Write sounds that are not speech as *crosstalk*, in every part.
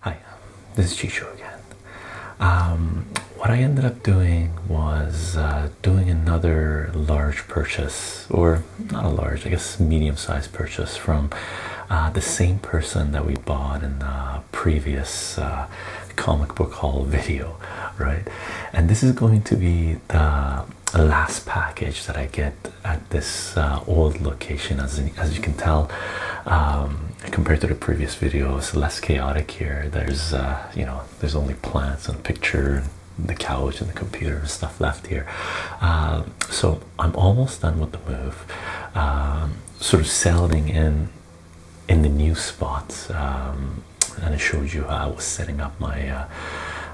Hi, um, this is Chisho again. Um, what I ended up doing was uh, doing another large purchase, or not a large, I guess medium sized purchase from uh, the same person that we bought in the previous uh, comic book haul *laughs* video, right? And this is going to be the last package that I get at this uh, old location. As as you can tell, um, compared to the previous videos, less chaotic here. There's uh, you know there's only plants and picture and the couch and the computer and stuff left here. Um, so I'm almost done with the move. Um, sort of settling in in the new spot. and I showed you how I was setting up my uh,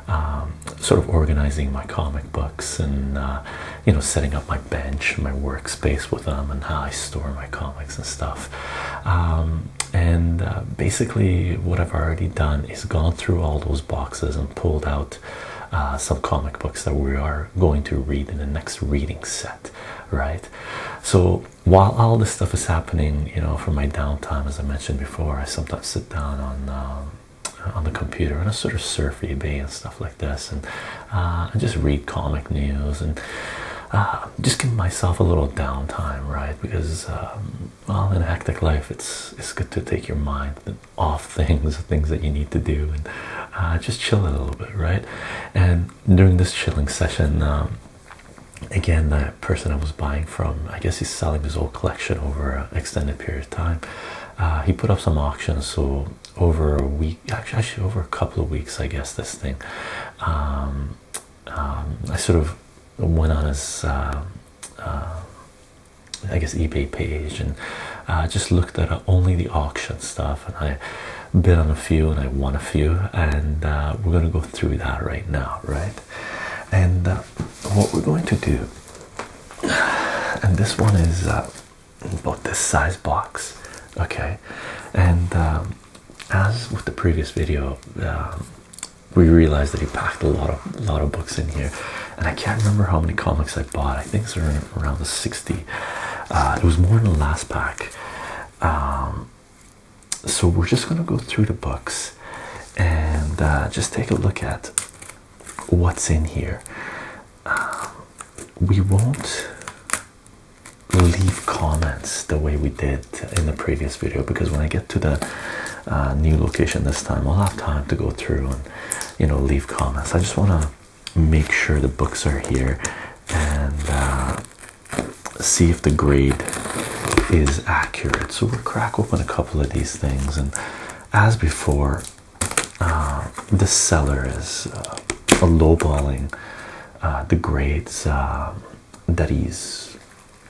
um, sort of organizing my comic books and uh, you know setting up my bench, my workspace with them, and how I store my comics and stuff. Um, and uh, basically, what I've already done is gone through all those boxes and pulled out uh, some comic books that we are going to read in the next reading set, right? So while all this stuff is happening, you know, for my downtime, as I mentioned before, I sometimes sit down on. Um, on the computer and I sort of surf eBay and stuff like this, and I uh, just read comic news and uh, just give myself a little downtime, right? Because um, well, in a hectic life, it's it's good to take your mind off things, *laughs* things that you need to do, and uh, just chill a little bit, right? And during this chilling session, um, again, I person I was buying from. I guess he's selling his old collection over an extended period of time. Uh, he put up some auctions, so over a week, actually, actually over a couple of weeks, I guess this thing. Um, um, I sort of went on his, uh, uh, I guess, eBay page and uh, just looked at only the auction stuff, and I bid on a few and I won a few, and we're gonna go through that right now, right? And uh, what we're going to do, and this one is uh, about this size box, okay? And um, as with the previous video, um, we realized that he packed a lot of lot of books in here, and I can't remember how many comics I bought. I think it's around the sixty. Uh, it was more in the last pack. Um, so we're just gonna go through the books and just take a look at what's in here. Um, we won't leave comments the way we did in the previous video because when I get to the uh, new location this time, I'll have time to go through and you know leave comments. I just want to make sure the books are here and uh, see if the grade is accurate. So we'll crack open a couple of these things and as before, uh, the seller is uh, lowballing uh, the grades uh, that he's,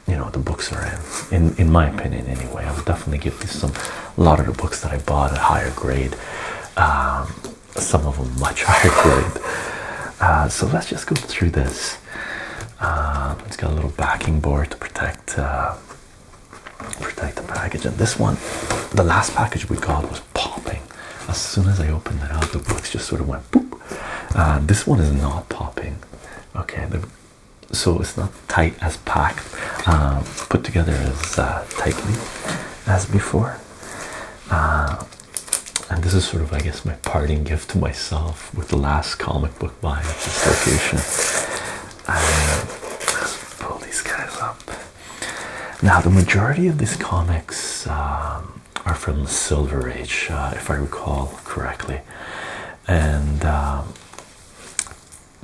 you know, the books are in. In my opinion, anyway, I would definitely give this some. A lot of the books that I bought a higher grade, um, some of them much *laughs* higher grade. so let's just go through this. Uh, it's got a little backing board to protect protect the package. And this one, the last package we got was popping. As soon as I opened it up, the books just sort of went boop. Uh, this one is not popping. Okay, so it's not tight as packed, uh, put together as uh, tightly as before. and this is sort of, I guess, my parting gift to myself with the last comic book buy at this location let's uh, pull these guys up. Now, the majority of these comics um, are from the Silver Age, uh, if I recall correctly, and um,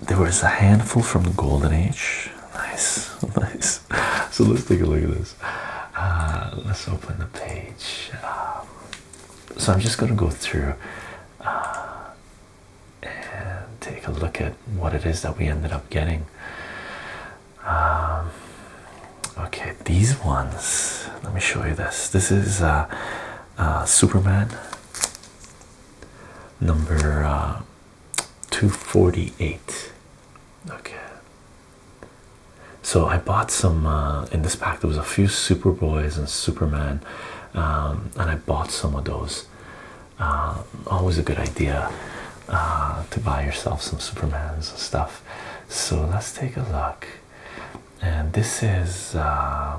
there was a handful from the Golden Age. Nice, *laughs* nice. So let's take a look at this. Uh, let's open the page. Um, so I'm just gonna go through and take a look at what it is that we ended up getting. Um, okay, these ones. Let me show you this. This is uh, uh, Superman number uh, 248. Okay. So I bought some in this pack. There was a few Super Boys and Superman um, and I bought some of those. Uh, always a good idea uh, to buy yourself some Supermans stuff. So let's take a look. And this is uh,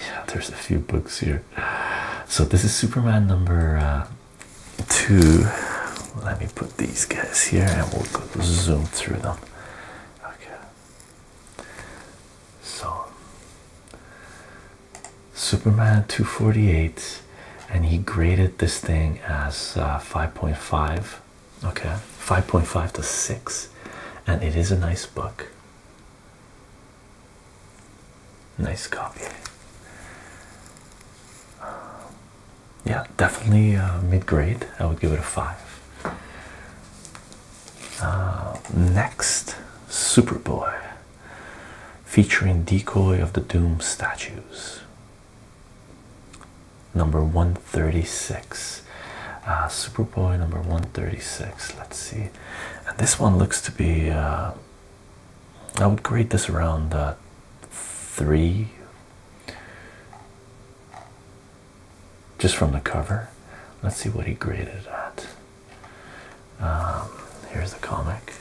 yeah. There's a few books here. So this is Superman number two. Let me put these guys here, and we'll zoom through them. Okay. So Superman 248 and he graded this thing as 5.5 uh, okay 5.5 to 6 and it is a nice book nice copy yeah, definitely uh, mid grade. I would give it a five. Uh, next, Superboy, featuring decoy of the Doom statues. Number one thirty six, uh, Superboy number one thirty six. Let's see, and this one looks to be. I would grade this around uh, three just from the cover. Let's see what he graded at. Um, here's the comic.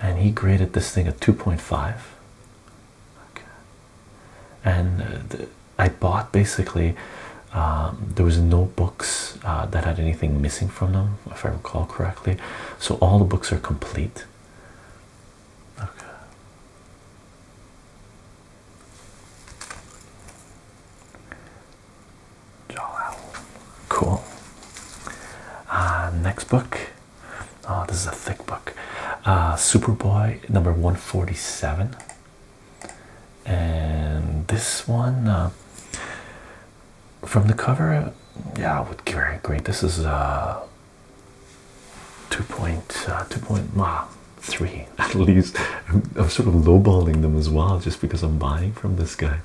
And he graded this thing at 2.5. And uh, I bought basically, um, there was no books uh, that had anything missing from them, if I recall correctly. So all the books are complete. Okay. Jowl. Cool. Uh, next book. Oh, this is a thick book. Uh, Superboy number 147. And this one, uh, from the cover, yeah, I would give it great. This is uh, two uh, *laughs* at least. I'm, sort of lowballing them as well, just because I'm buying from this guy,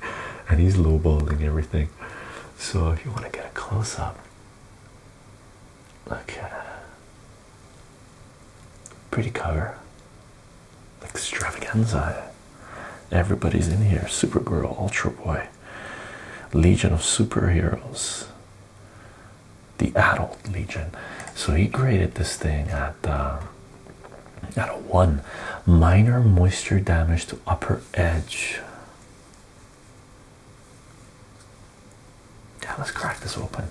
and he's lowballing everything. So if you want to get a close up, okay, uh, pretty cover, extravaganza. Everybody's in here. Supergirl, Ultra Boy, Legion of Superheroes the adult legion so he graded this thing at uh, at a one minor moisture damage to upper edge yeah let's crack this open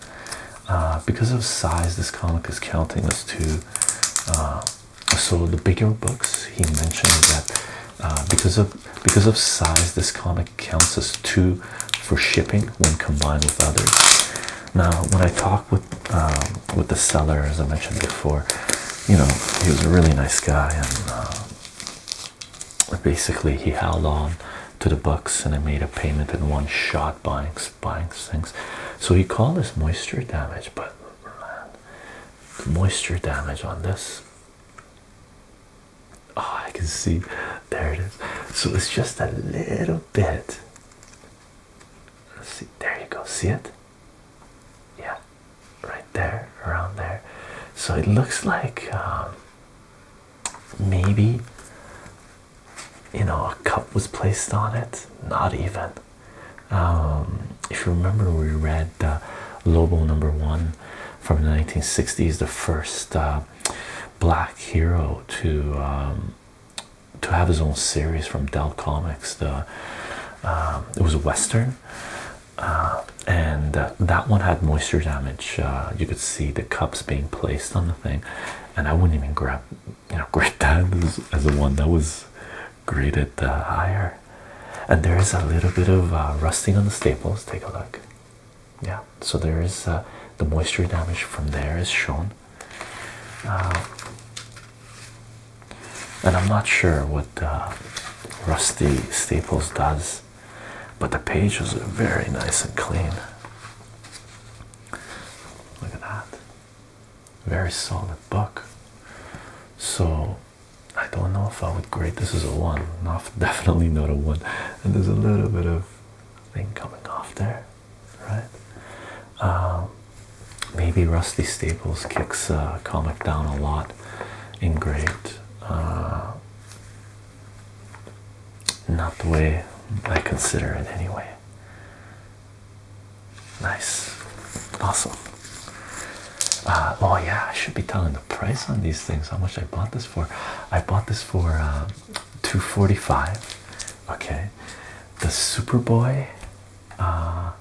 uh, because of size this comic is counting as two uh, so the bigger books he mentioned that because of because of size this comic counts as two for shipping when combined with others. Now, when I talk with um, with the seller, as I mentioned before, you know he was a really nice guy, and uh, basically he held on to the books, and I made a payment in one shot, buying buying things. So he called this moisture damage, but moisture damage on this Oh, I can see there it is. So it's just a little bit. Let's see, there you go. See it? Yeah, right there, around there. So it looks like um, maybe you know a cup was placed on it. Not even. Um, if you remember, we read uh, Lobo number one from the 1960s, the first uh, Black Hero to um, to have his own series from Dell Comics. The um, it was a western, uh, and uh, that one had moisture damage. Uh, you could see the cups being placed on the thing, and I wouldn't even grab you know *laughs* grab that as, the one that was graded higher. And there is a little bit of rusting on the staples. Take a look yeah so there is uh, the moisture damage from there is shown uh, and i'm not sure what uh, rusty staples does but the pages are very nice and clean look at that very solid book so i don't know if i would grade this as a one *laughs* definitely not a one and there's a little bit of thing coming off there, right? Um, maybe Rusty Staples kicks uh, comic down a lot in grade. Uh, not the way I consider it, anyway. Nice, awesome. Uh, oh yeah, I should be telling price on these things. How much I bought this for? I bought this for uh, two forty-five. Okay, the Superboy. Uh,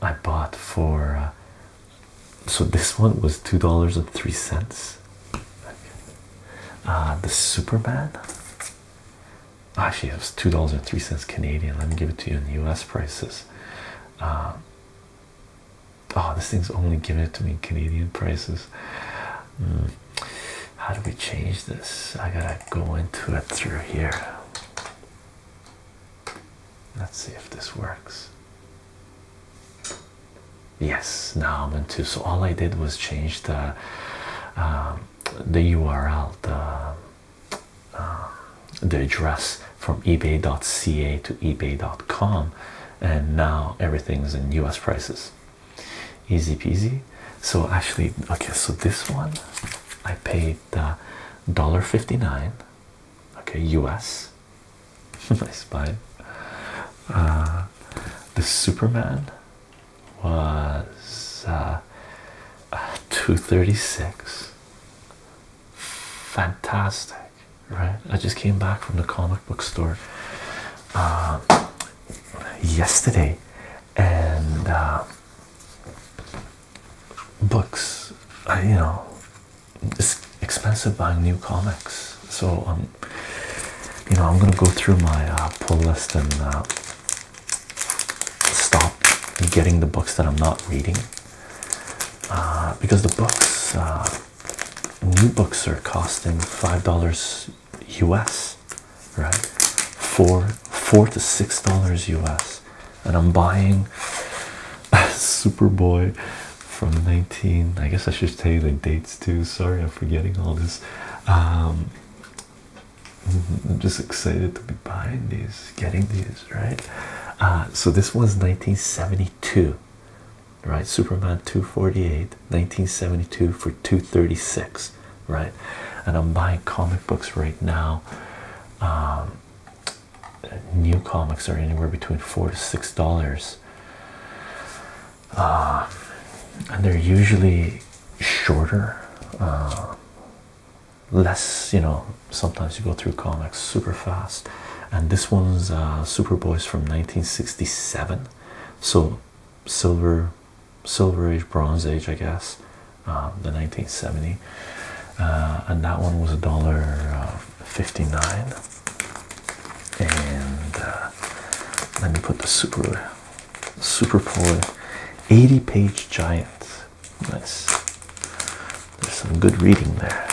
I bought for. Uh, so this one was two dollars and three cents. the Superman. Actually, it was two dollars and three cents Canadian. Let me give it to you in U.S. prices oh this thing's only giving it to me Canadian prices hmm. how do we change this I gotta go into it through here let's see if this works yes now I'm into so all I did was change the um, the URL the um, the address from ebay.ca to ebay.com and now everything's in US prices. Easy peasy. So actually, okay, so this one I paid uh, $1.59, okay, US. *laughs* Nice buy. Uh, the Superman was uh, uh 236. Fantastic right? I just came back from the comic book store um, yesterday, and um, books, I, uh, you know, it's expensive buying new comics, so I'm, um, you know, I'm gonna go through my uh, pull list and uh, stop getting the books that I'm not reading. because the books new books are costing five dollars US, right? Four, four to six dollars US, and I'm buying *laughs* Superboy from 19. I guess I should tell you the dates too. Sorry, I'm forgetting all this. Um, I'm just excited to be buying these, getting these, right? Uh, so this one's 1972 right? Superman 248, 1972 for 236, right? And I'm buying comic books right now. Um, new comics are anywhere between four to six dollars. Um, and they're usually shorter, uh, less, you know. Sometimes you go through comics super fast and this one's uh, Superboys from 1967. So silver, silver age, bronze age, I guess. Um, the 1970, uh, and that one was a dollar uh, fifty nine. And uh, let me put the super, super ploy, 80 page giant. Nice. There's some good reading there.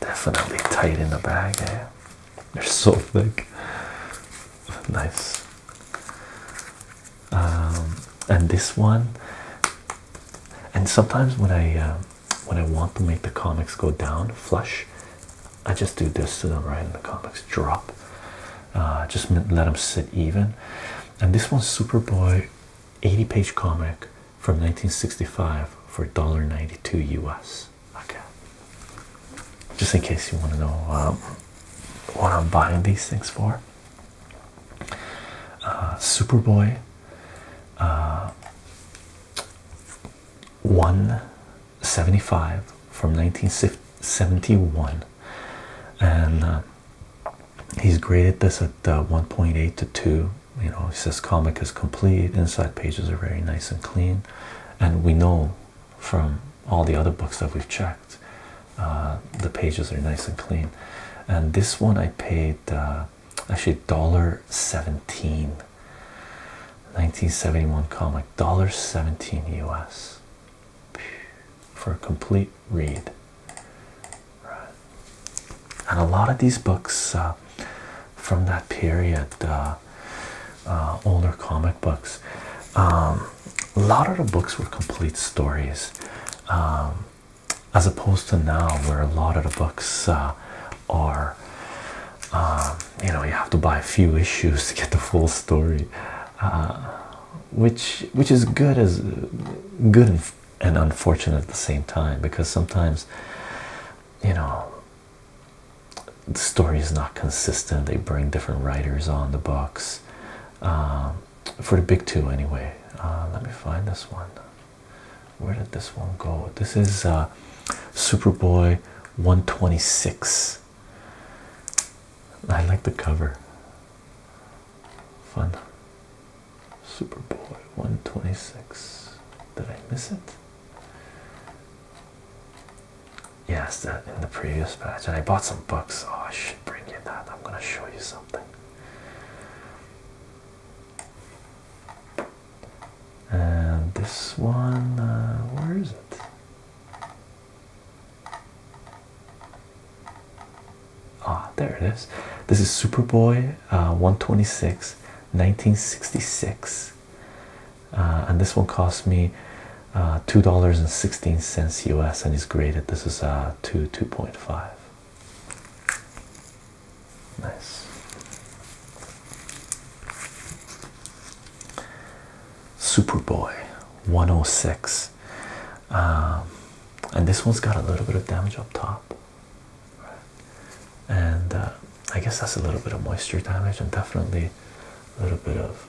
Definitely tight in the bag, eh? They're so thick. nice. Um, and this one, and sometimes when I uh, when I want to make the comics go down flush, I just do this to them right in the comics drop uh, just let them sit even and this one's Superboy 80 page comic from 1965 for $1.92 US okay just in case you want to know um, what I'm buying these things for uh, Superboy uh, one 75 from 1971 and uh, he's graded this at uh, 1.8 to 2 you know he says comic is complete inside pages are very nice and clean and we know from all the other books that we've checked uh, the pages are nice and clean and this one i paid actually dollar 17 1971 comic, dollar seventeen US for a complete read. And a lot of these books uh, from that period, uh, uh, older comic books, um, a lot of the books were complete stories. Um, as opposed to now, where a lot of the books are uh, you know, you have to buy a few issues to get the full story, uh, which which is good as good and, unfortunate at the same time because sometimes, you know, the story is not consistent. They bring different writers on the books, uh, for the big two anyway. let me find this one. Where did this one go? This is Superboy 126. I like the cover. Fun. Superboy 126. Did I miss it? Yes, that in the previous batch. And I bought some books. Oh, should bring you that. I'm gonna show you something. And this one, uh, where is it? Ah, there it is. This is Superboy uh, 126, 1966. Uh, and this one cost me uh, $2.16 US and is graded. This is a uh, 2 2.5. Nice. Superboy 106. Um, and this one's got a little bit of damage up top. And uh, I guess that's a little bit of moisture damage and definitely a little bit of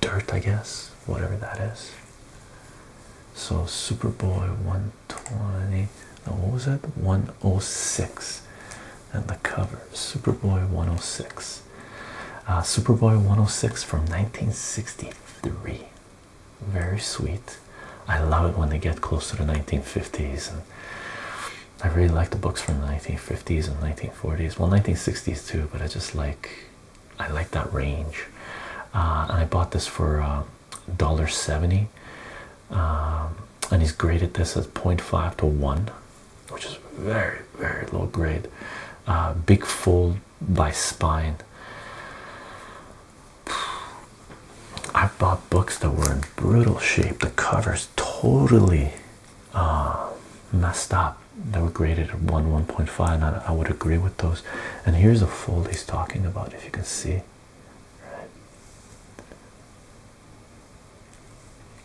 dirt, I guess, whatever that is. So Superboy 120. No, what was that? 106 and the cover Superboy 106. Uh, Superboy 106 from 1963. Very sweet. I love it when they get close to the 1950s. And I really like the books from 1950s and 1940s. Well, 1960s too, but I just like I like that range. Uh, and I bought this for uh, dollar seventy. Um, and he's graded this as 0.5 to 1 which is very very low grade uh, big fold by spine *sighs* i bought books that were in brutal shape the covers totally uh, messed up they were graded at 1 1.5 and I, would agree with those and here's a fold he's talking about if you can see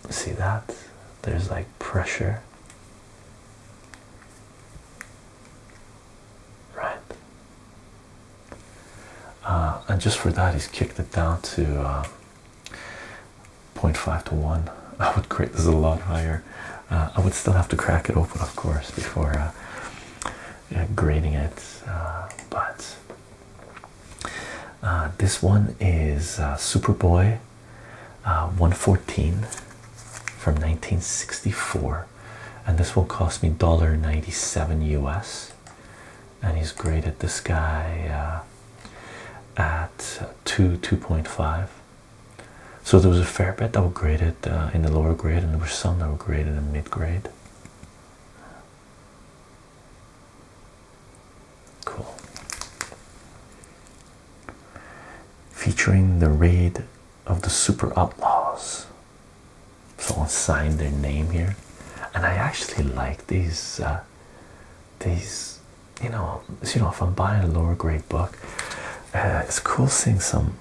See that? There's like pressure. Right. Uh, and just for that, he's kicked it down to uh, 0.5 to 1. *laughs* I would create this a lot higher. Uh, I would still have to crack it open, of course, before uh, grading it. but uh, this one is uh, Superboy uh, 114 from 1964, and this will cost me ninety seven US. And he's graded this guy at 2 2.5. So there was a fair bit that were graded in the lower grade, and there were some that were graded in mid grade. Cool. Featuring the raid of the Super Outlaws. Someone signed their name here, and I actually like these. Uh, these, you know, you know, if I'm buying a lower grade book, uh, it's cool seeing some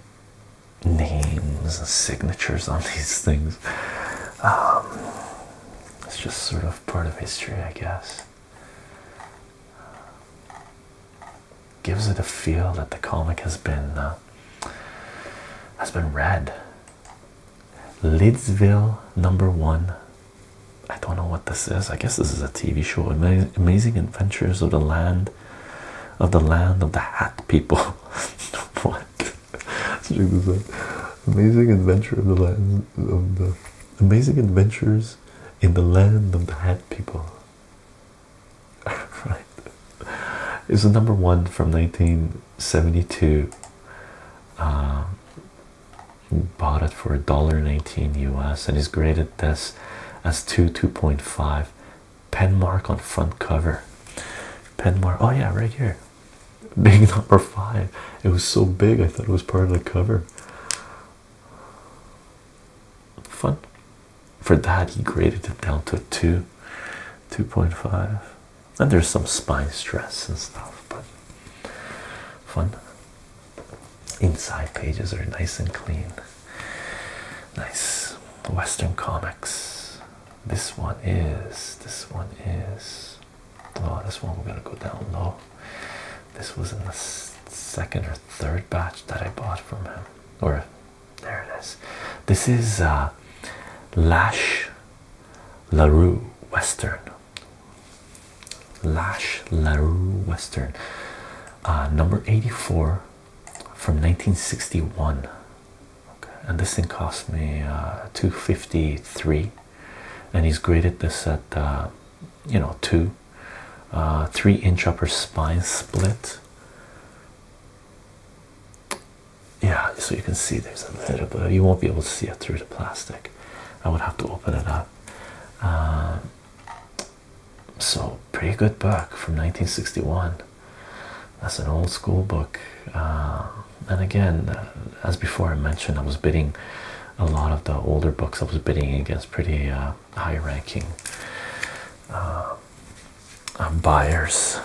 names and signatures on *laughs* these things. Um, it's just sort of part of history, I guess gives it a feel that the comic has been uh, has been read. Lidsville number one. I don't know what this is. I guess this is a TV show. Amazing Adventures of the Land of the Land of the Hat People. *laughs* what? *laughs* Amazing Adventure of the Land of the Amazing adventures in the land of the hat people. *laughs* right. It's the number one from 1972. Uh, bought it for $1.19 US and is graded as, as 2, 2.5. Pen mark on front cover. Pen mark. Oh, yeah, right here. Big number five. It was so big, I thought it was part of the cover. Fun. For that, he graded it down to 2, 2.5. And there's some spine stress and stuff, but fun. Inside pages are nice and clean. Nice Western comics. This one is, this one is Oh, this one we're gonna go down low. This was in the second or third batch that I bought from him. Or there it is. This is uh, Lash LaRue Western. Lash LaRue Western, uh, number 84 from 1961. Okay. And this thing cost me uh, 253 and he's graded this at uh, you know two uh, three inch upper spine split yeah so you can see there's a little bit you won't be able to see it through the plastic i would have to open it up um, so pretty good book from 1961 that's an old school book uh, and again as before i mentioned i was bidding a lot of the older books I was bidding against pretty uh, high ranking uh, um, buyers,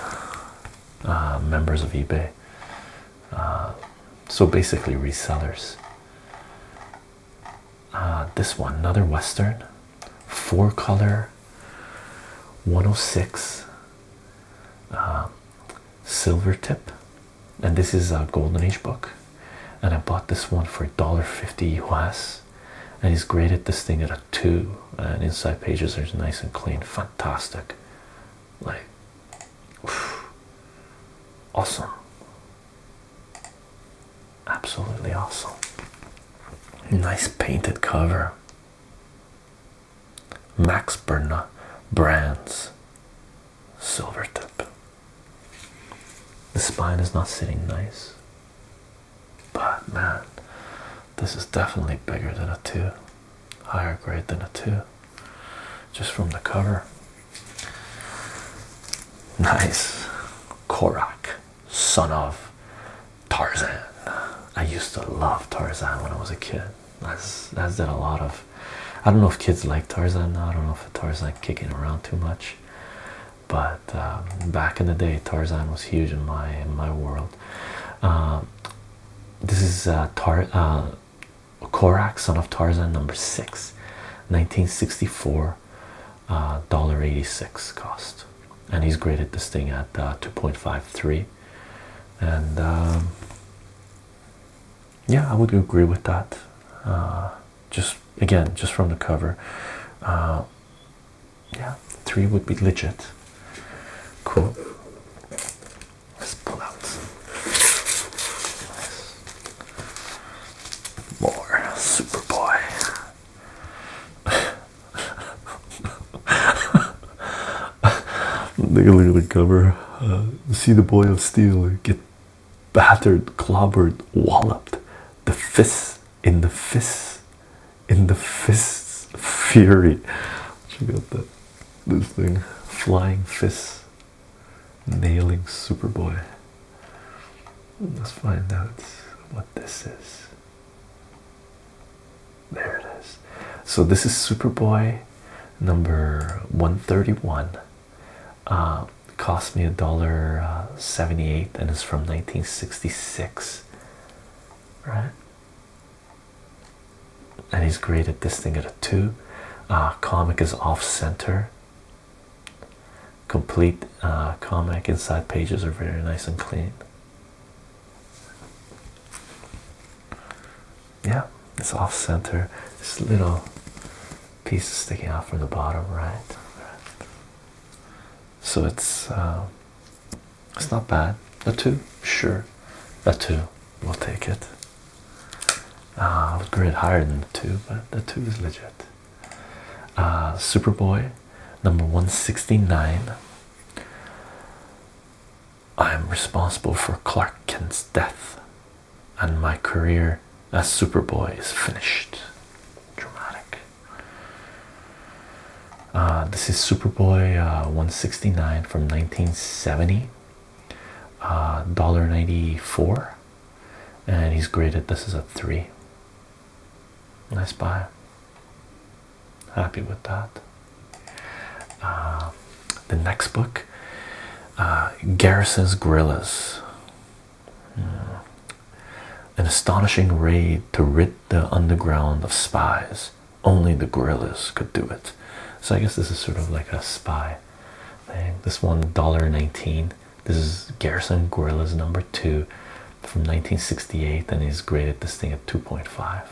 uh, members of eBay. so basically, resellers. this one, another Western, four color 106 silver tip and this is a golden age book and i bought this one for $1.50 us and he's graded this thing at a two and inside pages are nice and clean fantastic like awesome absolutely awesome nice painted cover max Berna brands silver tip the spine is not sitting nice. But man, this is definitely bigger than a 2. Higher grade than a 2. Just from the cover. Nice. Korak, son of Tarzan. I used to love Tarzan when I was a kid. That's that's did a lot of I don't know if kids like Tarzan now. I don't know if Tarzan kicking around too much, but um, back in the day, Tarzan was huge in my my world. Um, this is uh, Tar uh, Korak, son of Tarzan, number six, 1964, uh, dollar 86 cost, and he's graded this thing at uh, 2.53, and. Um, yeah, I would agree with that. Uh, just again, just from the cover, uh, yeah, three would be legit. Cool. Let's pull out more Superboy. Take *laughs* a look at the cover. Uh, see the boy of steel get battered, clobbered, walloped. The fists in the fists in the fists fury. Check out that this thing flying fists nailing Superboy. Let's find out what this is. There it is. So this is Superboy number 131 uh, cost me a dollar uh, 78 and it's from 1966 right and he's graded this thing at a two uh, comic is off center complete comic inside pages are very nice and clean yeah it's off center this little pieces sticking out from the bottom, right? right. So it's um, it's not bad. The two, sure. A two, we'll take it. I uh, would grade higher than the two, but the two is legit. Uh, Superboy, number one sixty nine. I am responsible for Clark Kent's death and my career as Superboy is finished. Dramatic. Uh, this is Superboy uh, 169 from 1970, uh, ninety four, and he's graded this is a 3. Nice buy. Happy with that. Uh, the next book uh, Garrison's Gorillas hmm. An astonishing raid to rid the underground of spies. Only the gorillas could do it. So I guess this is sort of like a spy thing. This one dollar nineteen. This is Garrison Gorillas number two from 1968, and he's graded this thing at 2.5.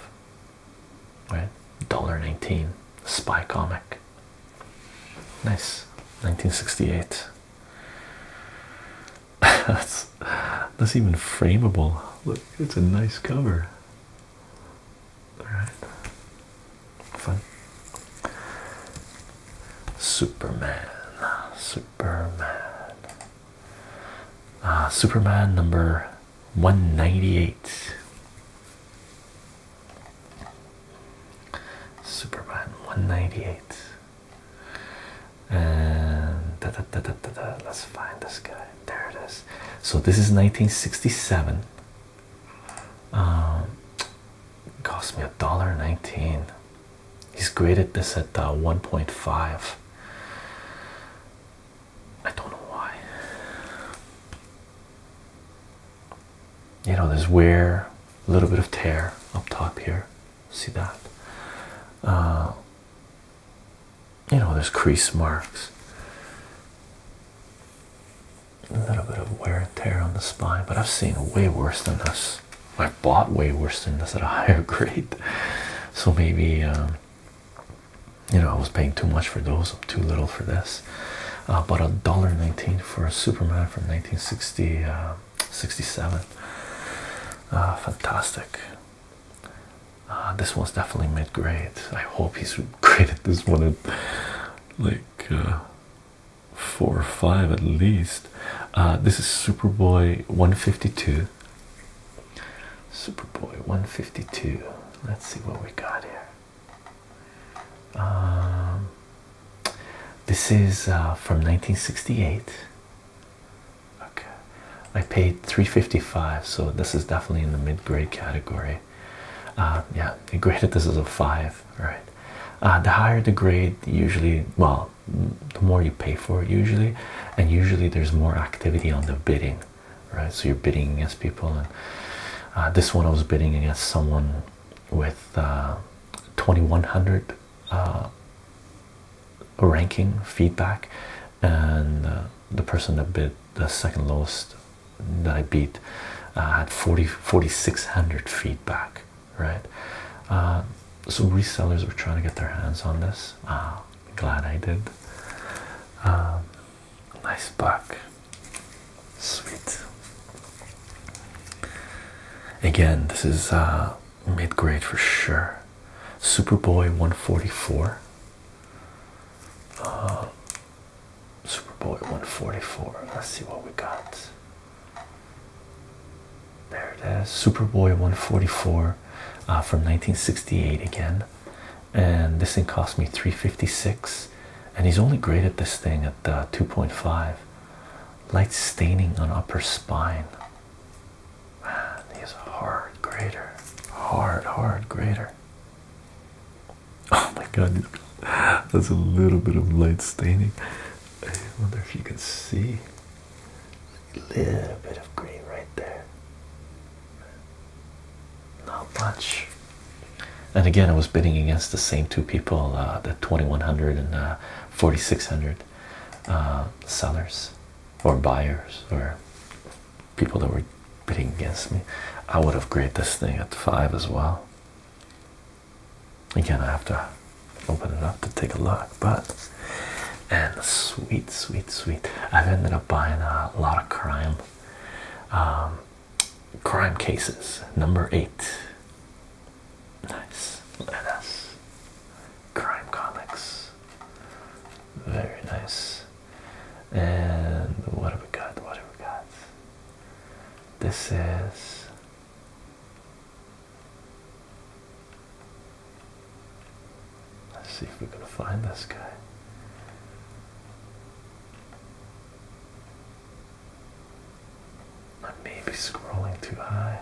Right? Dollar nineteen. Spy comic. Nice 1968. *laughs* that's that's even frameable. Look, it's a nice cover. Alright. Fun. Superman. Superman. Uh, Superman number 198. Superman 198. And let's find this guy. There it is. So this is 1967. Um, cost me a dollar 19. He's graded this at uh, 1.5. I don't know why. You know, there's wear, a little bit of tear up top here. See that? Uh, you know, there's crease marks. A little bit of wear and tear on the spine, but I've seen way worse than this. I bought way worse than this at a *laughs* higher grade. So maybe, um, you know, I was paying too much for those, too little for this about uh, a dollar 19 for a superman from 1960 uh, uh, fantastic this one's definitely mid-grade i hope he's graded *laughs* this one at like four or five at least this is superboy 152 superboy 152 let's see what we got here um, this is uh, from 1968. Okay, I paid 355, so this is definitely in the mid-grade category. Uh, yeah, they graded this is a five, right? Uh, the higher the grade, usually, well, the more you pay for it, usually, and usually there's more activity on the bidding, right? So you're bidding against people, and this one I was bidding against someone with uh, 2100 uh, ranking feedback, and uh, the person that bid the second lowest that I beat had 40 4600 feedback, right? so resellers were trying to get their hands on this. Uh, glad I did. Um, nice buck. Sweet. Again, this is uh, mid grade for sure. Superboy 144. Uh, Superboy 144. Let's see what we got. There it is. Superboy 144 uh, from 1968 again. And this thing cost me 356. And he's only great at this thing the 2.5 light staining on upper spine man he's a hard grader hard hard grader *laughs* oh my god that's a little bit of light staining i wonder if you can see a little bit of green right there not much and again, I was bidding against the same two people uh, the 2100 and uh, 4600 uh, sellers or buyers or people that were bidding against me. I would have graded this thing at five as well. Again, I have to open it up to take a look, but and sweet, sweet, sweet. I've ended up buying a lot of crime. Um, crime cases number eight. Nice. Let Crime comics. Very nice. And what have we got? What have we got? This is. Let's see if we can find this guy. I may be scrolling too high.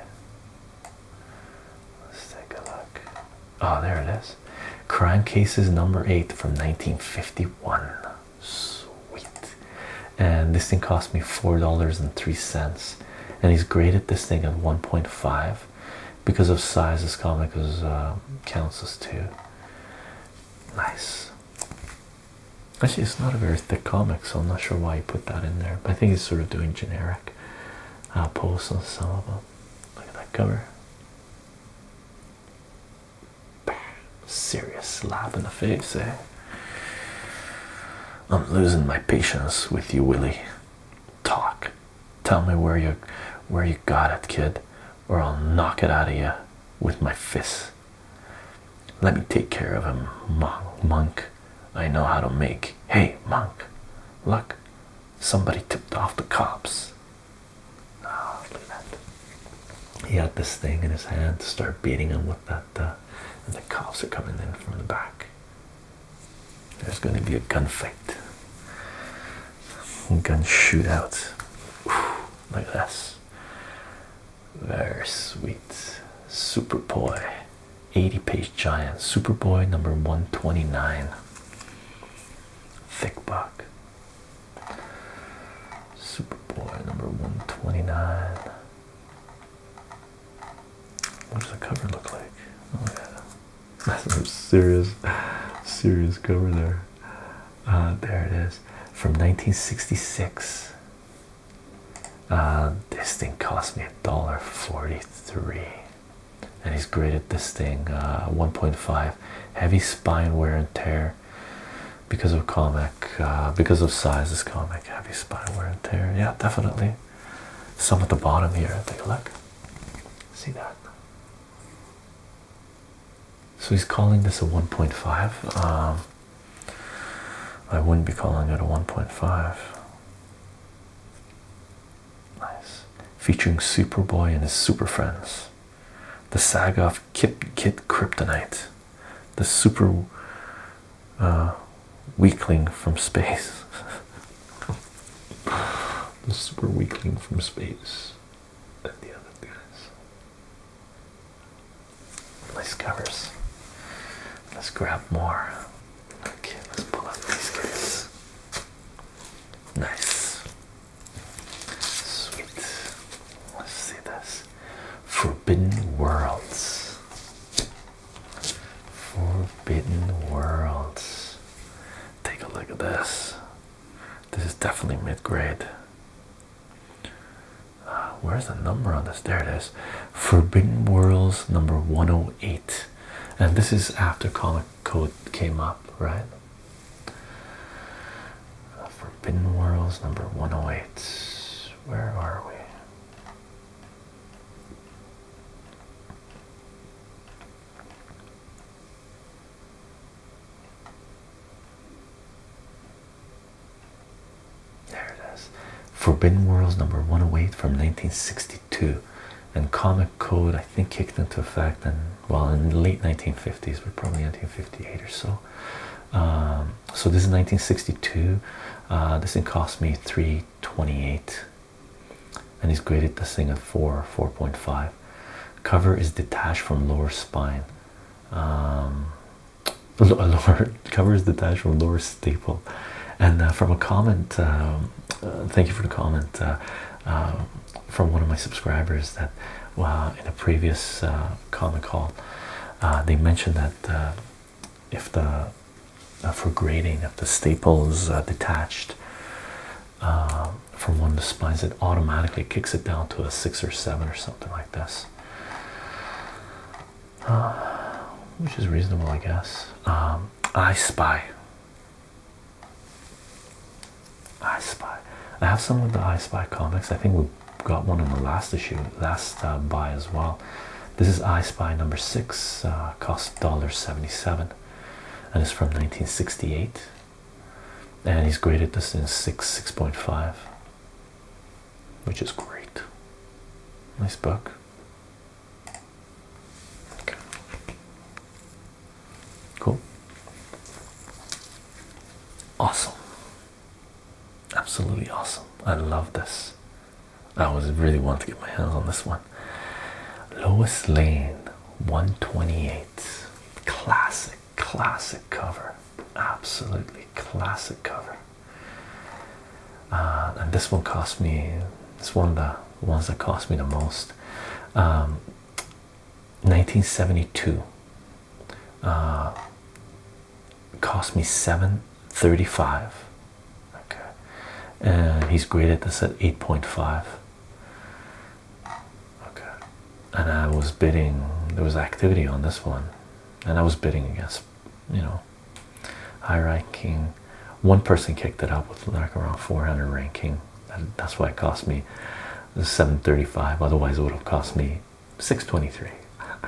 Let's take a look. Oh, there it is. Crime Cases Number 8 from 1951. Sweet. And this thing cost me $4.03. And he's graded this thing at 1.5 because of size. This comic is, uh, counts as 2. Nice. Actually, it's not a very thick comic, so I'm not sure why he put that in there. But I think he's sort of doing generic uh, posts on some of them. Look at that cover. Serious slap in the face, eh? I'm losing my patience with you, Willie. Talk. Tell me where you where you got it, kid, or I'll knock it out of you with my fists. Let me take care of him, monk. I know how to make. Hey, monk, look, somebody tipped off the cops. Oh, look at that. He had this thing in his hand to start beating him with that, uh, and the cops are coming in from the back. There's going to be a gunfight, gun shootout. Whew, like this. Very sweet. Superboy. 80 page giant. Superboy number 129. Thick book. Superboy number 129. What does the cover look like? Oh yeah. *laughs* That's a serious serious cover there. Uh, there it is. From 1966. Uh, this thing cost me a dollar 43 and he's graded this thing uh, 1.5 heavy spine wear and tear because of comic uh, because of size is comic heavy spine wear and tear yeah definitely some at the bottom here take a look see that so he's calling this a 1.5. Um, I wouldn't be calling it a 1.5. Nice. Featuring Superboy and his super friends. The saga of Kip Kryptonite. The super uh, weakling from space. *laughs* the super weakling from space. And the other guys. Nice covers. Let's grab more. Okay, let's pull up these guys. Nice. Sweet. Let's see this. Forbidden Worlds. Forbidden Worlds. Take a look at this. This is definitely mid grade where's the number on this? There it is. Forbidden Worlds number 108. And this is after Comic Code came up, right? Forbidden Worlds number 108. Where are we? There it is. Forbidden Worlds number 108 from 1962. And Comic Code, I think, kicked into effect and well in the late 1950s, but probably 1958 or so. Um, so this is 1962. Uh, this thing cost me 328. And he's graded the thing at 4, 4.5. Cover is detached from lower spine. Um, *laughs* lower covers the dash from lower staple and uh, from a comment um, uh, thank you for the comment uh, from one of my subscribers that in a previous uh, comment call they mentioned that if the for grading if the staple is detached from one of the spines it automatically kicks it down to a six or seven or something like this uh, which is reasonable, I guess. Um, I Spy. I Spy. I have some of the I Spy comics. I think we got one in the last issue, last uh, buy as well. This is I Spy number six. Uh, cost dollar seventy-seven, and it's from 1968. And he's graded this in six, six point five which is great. Nice book. Okay. Cool. Awesome. Absolutely awesome. I love this. I was really want to get my hands on this one. Lois Lane 128. Classic classic cover, absolutely classic cover. Uh, and this one cost me. It's one of the ones that cost me the most. 1972 um, uh, cost me 735 okay and he's graded this at 8.5 okay and i was bidding there was activity on this one and I was bidding against, you know, high ranking. One person kicked it out with like around 400 ranking. that's why it cost me 735. Otherwise, it would have cost me 623.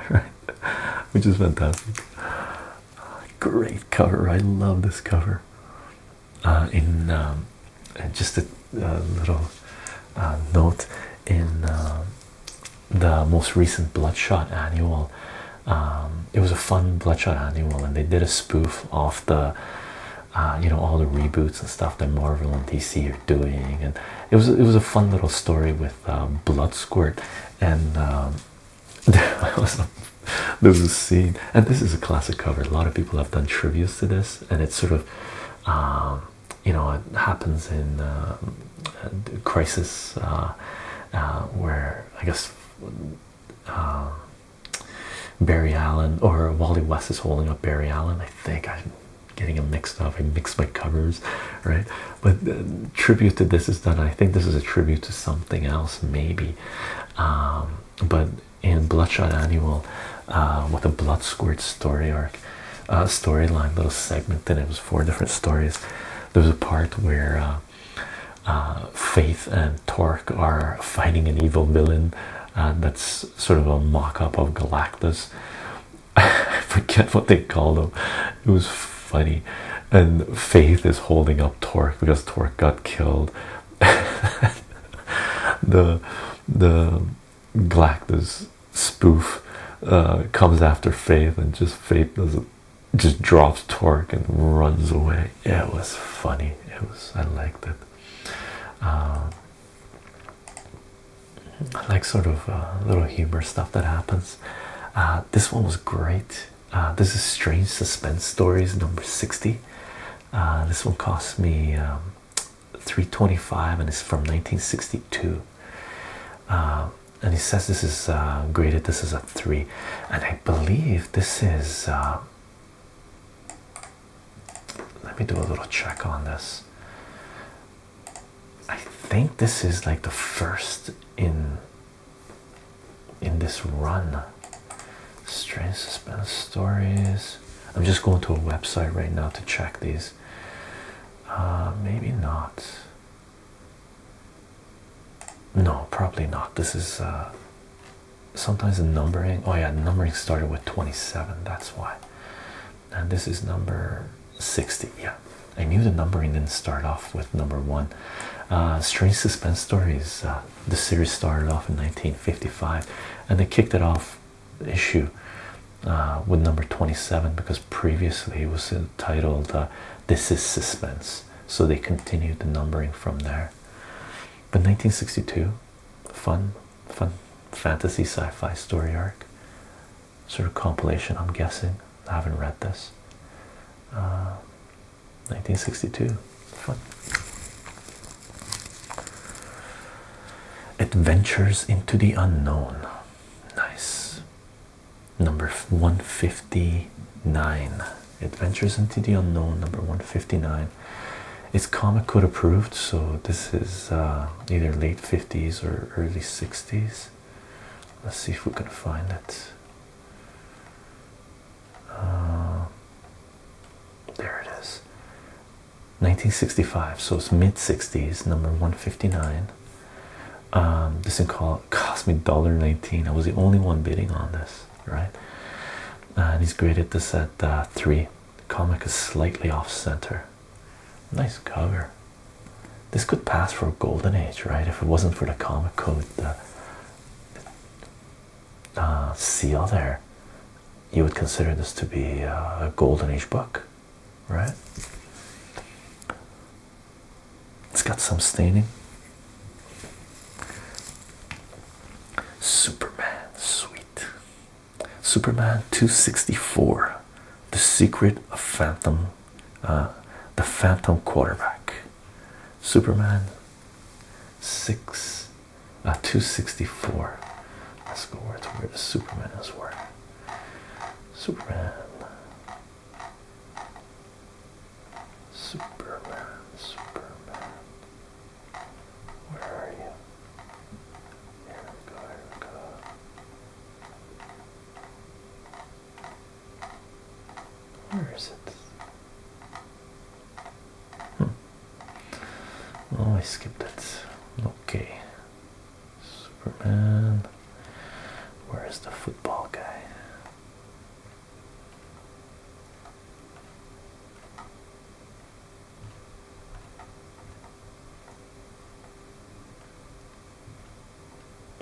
Right, *laughs* which is fantastic. Great cover. I love this cover. Uh, in um, just a little uh, note in. Um, the most recent Bloodshot annual. Um, it was a fun Bloodshot annual, and they did a spoof off the, uh, you know, all the reboots and stuff that Marvel and DC are doing, and it was it was a fun little story with um, Blood Squirt, and um, *laughs* there was a, scene, and this is a classic cover. A lot of people have done tributes to this, and it's sort of you know it happens in uh, crisis uh, uh, where I guess uh, Barry Allen or Wally West is holding up Barry Allen. I think I'm getting them mixed up. I mix my covers, right? But tribute to this is done. I think this is a tribute to something else, maybe. Um, but in Bloodshot Annual, with a blood squirt story arc, uh, storyline little segment, and it was four different stories. There was a part where uh, uh, Faith and Torque are fighting an evil villain uh, that's sort of a mock up of Galactus. *laughs* I forget what they called him, it was funny. And Faith is holding up Torque because Torque got killed. *laughs* the the Galactus spoof uh, comes after Faith, and just Faith doesn't just drops Torque and runs away. it was funny. It was I liked it. Um, I like sort of uh, little humor stuff that happens. Uh, this one was great. this is Strange Suspense Stories number 60. this one cost me um, 325 and it's from 1962. Uh, and he says this is uh, graded, this is a three. And I believe this is, uh, let me do a little check on this. I think this is like the first in in this run. Strange suspense stories. I'm just going to a website right now to check these. Uh, maybe not. No, probably not. This is uh, sometimes the numbering. Oh, yeah, numbering started with 27. That's why. And this is number 60. Yeah, I knew the numbering didn't start off with number one. Uh, Strange Suspense Stories, the series started off in 1955 and they kicked it off issue uh, with number 27 because previously it was titled uh, This is Suspense. So they continued the numbering from there. But 1962, fun, fun fantasy sci fi story arc, sort of compilation, I'm guessing. I haven't read this. 1962, uh, fun. Adventures into the unknown. Nice number 159 adventures into the unknown number 159 it's comic code approved so this is uh, either late 50s or early 60s let's see if we can find it uh, there it is 1965 so it's mid 60s number 159 um, this thing cost me dollar nineteen. I was the only one bidding on this, right? Uh, and he's graded this at uh, three. The comic is slightly off center. Nice cover. This could pass for a golden age, right? If it wasn't for the comic code the uh, seal there, you would consider this to be a golden age book right? It's got some staining. Superman, sweet. Superman 264, The Secret of Phantom, uh, The Phantom Quarterback. Superman 6, uh, 264. Let's go where to where the Superman is working. Superman. Superman, Superman. Where are you? Here we go, here we go. Where is it? Hmm. Oh, I skipped it. Okay. Superman. Where is the football guy?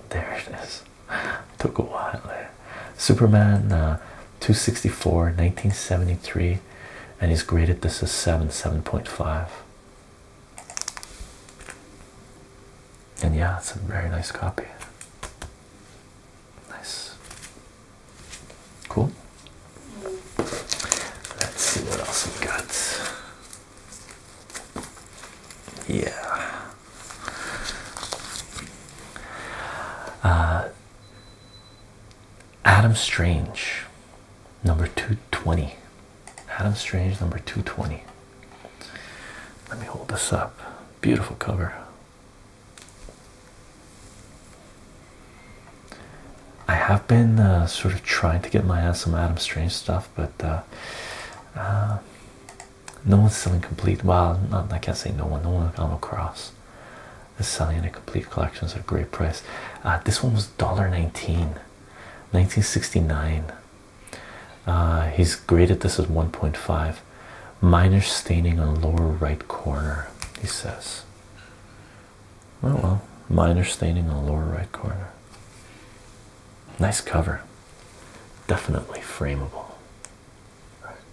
There it is. *laughs* Took a while there. Superman uh, 264, 1973, and he's graded this as 7, 7.5. And yeah, it's a very nice copy. Nice. Cool. Let's see what else we got. Yeah. Uh, Adam Strange, number 220. Adam Strange number 220. Let me hold this up. Beautiful cover. I have been uh, sort of trying to get my hands some Adam Strange stuff, but uh, uh, no one's selling complete. Well, I can't say no one. No one I come across is selling in a complete collection at a great price. this one was $1.19, 1969. Uh, he's graded this as 1.5. Minor staining on lower right corner, he says. "Well, oh, well, minor staining on lower right corner. Nice cover. Definitely frameable.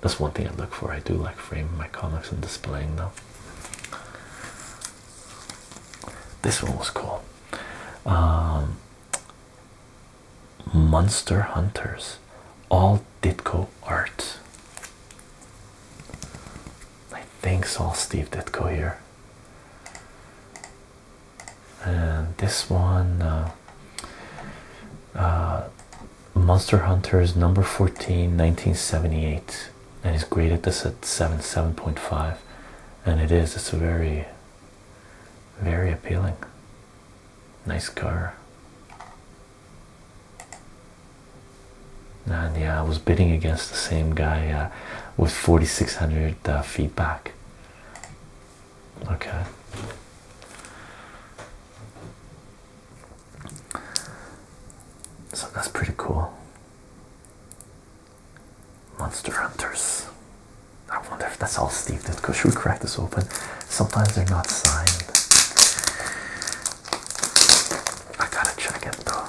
That's one thing I look for. I do like framing my comics and displaying them. This one was cool. Um, Monster Hunters, all Ditko art. I think it's all Steve Ditko here. And this one, uh, uh, Monster Hunters number 14, 1978, and he's graded this at 7, 7.5. And it is, it's a very very appealing. Nice car. And yeah, I was bidding against the same guy uh, with 4,600 uh, feedback. Okay. So that's pretty cool. Monster Hunters. I wonder if that's all Steve did because we cracked this open. Sometimes they're not signed. I gotta check it though.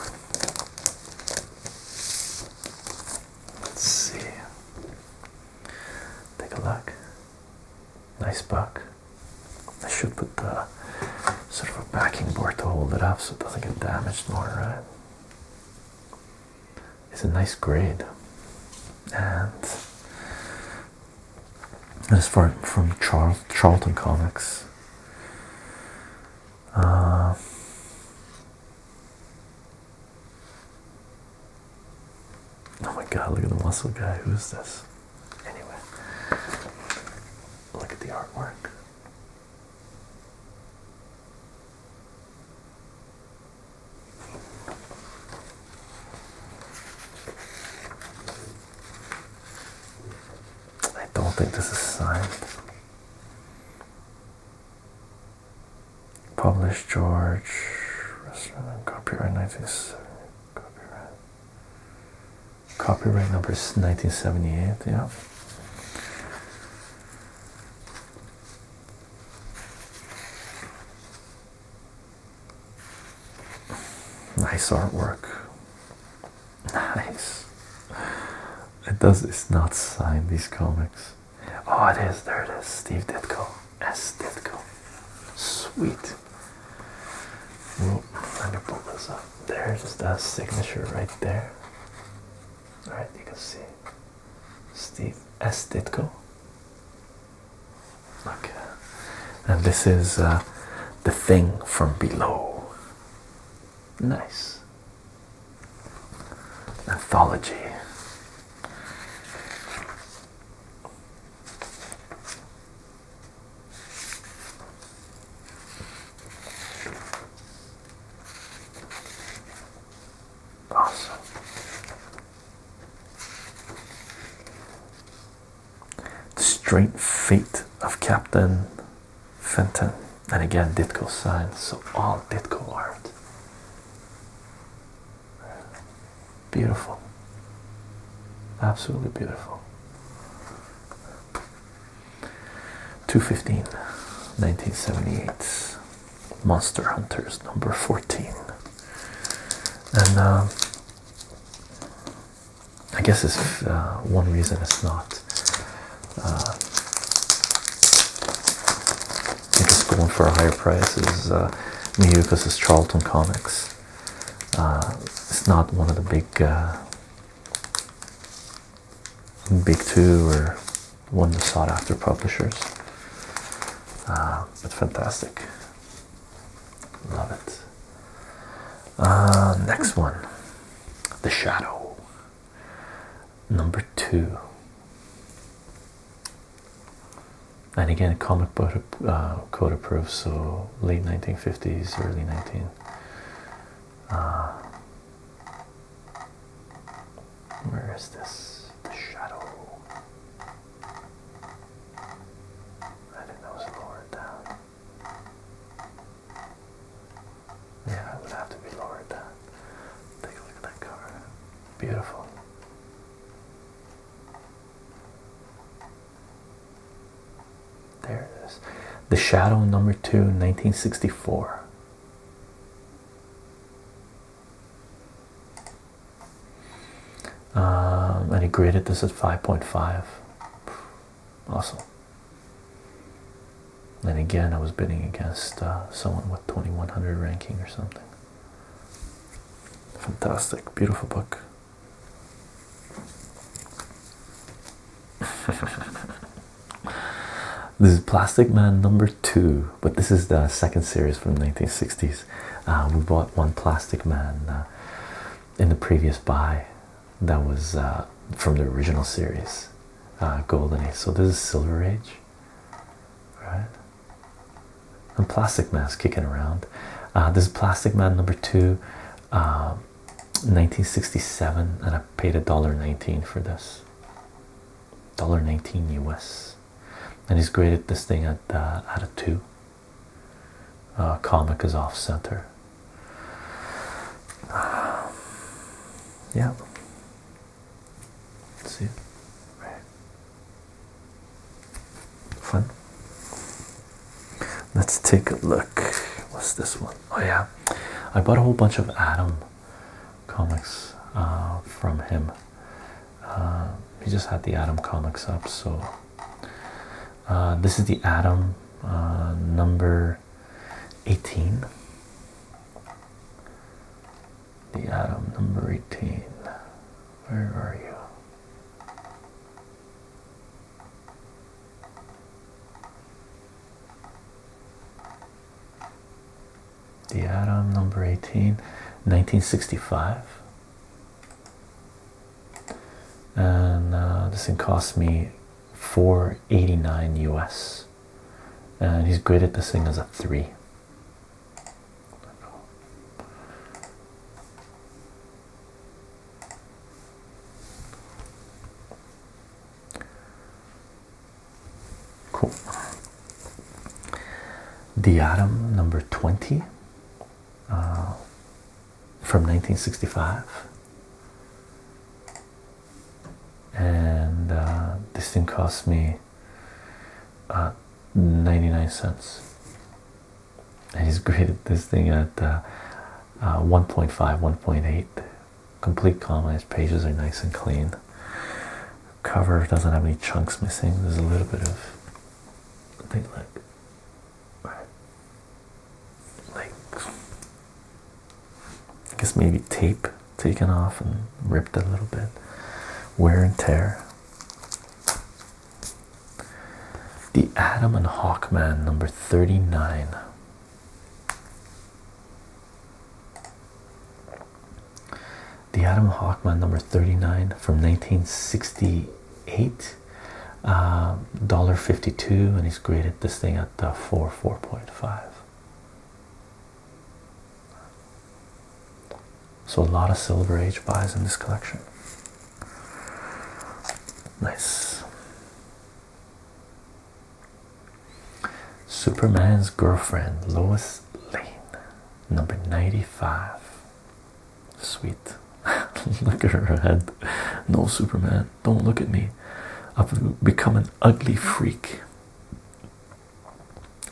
Let's see. Take a look. Nice buck. I should put the sort of a backing board to hold it up so it doesn't get damaged more, right? It's a nice grade, and as far from Charlton Comics. Uh, oh my God! Look at the muscle guy. Who is this? Anyway, look at the artwork. I don't think this is signed. Published George, copyright 1970. Copyright number is 1978. Yeah. Nice artwork. Nice. It does. It's not signed. These comics. Oh, it is. There it is. Steve Ditko. S. Ditko. Sweet. Whoa, let me pull this up. There's that signature right there. All right, you can see. Steve S. Ditko. Okay, and this is uh, the thing from below. Nice anthology. Awesome. The strange fate of Captain Fenton. And again, Ditko signs, so all Ditko art. Beautiful. Absolutely beautiful. 215, 1978. Monster Hunters number 14. And um, I guess it's uh, one reason it's not. Uh, I think it's going for a higher price is me because it's Charlton Comics. Uh, it's not one of the big big two or one of the sought after publishers. Uh, that's fantastic. Love it. Uh, next one The Shadow. Number two. And again, comic book uh, code approved, so late 1950s, early 19. Where is this shadow? I think that was lowered down. Yeah, it would have to be lowered down. Take a look at that cover. Beautiful. There it is. The Shadow number two, 1964. Um, and he graded this at 5.5. Awesome. And again, I was bidding against uh, someone with 2100 ranking or something. Fantastic, beautiful book. *laughs* This is Plastic Man number two, but this is the second series from the 1960s. Uh, we bought one Plastic Man uh, in the previous buy that was uh, from the original series, uh, Golden Age. So this is Silver Age, right? And Plastic Man's kicking around. this is Plastic Man number two, 1967, and I paid a dollar nineteen for this. $1.19 US. And he's graded this thing at at uh, a two. comic is off center. yeah. Let's see, right. Fun. Let's take a look. What's this one? Oh yeah, I bought a whole bunch of Adam comics uh, from him. Uh, he just had the Adam comics up, so uh, this is the Adam number 18. The Adam number 18. Where are you? The Adam number 18, 1965. And uh, this thing cost me 489 US. And he's graded this thing as a 3. Cool. The Atom number 20 uh, from 1965. And uh, this thing cost me uh, 99 cents. And he's graded this thing at uh, 1.5, 1.8 complete column. His pages are nice and clean. Cover doesn't have any chunks missing. There's a little bit of, I think like, like, I guess maybe tape taken off and ripped a little bit. Wear and tear. The Adam and Hawkman, number 39. The Adam Hockman number 39 from 1968, sixty-eight, uh, dollar fifty-two, and he's graded this thing at the 4, 4.5. So a lot of Silver Age buys in this collection. Nice. Superman's Girlfriend, Lois Lane, number 95. Sweet. *laughs* look at her head. No, Superman, don't look at me. I've become an ugly freak.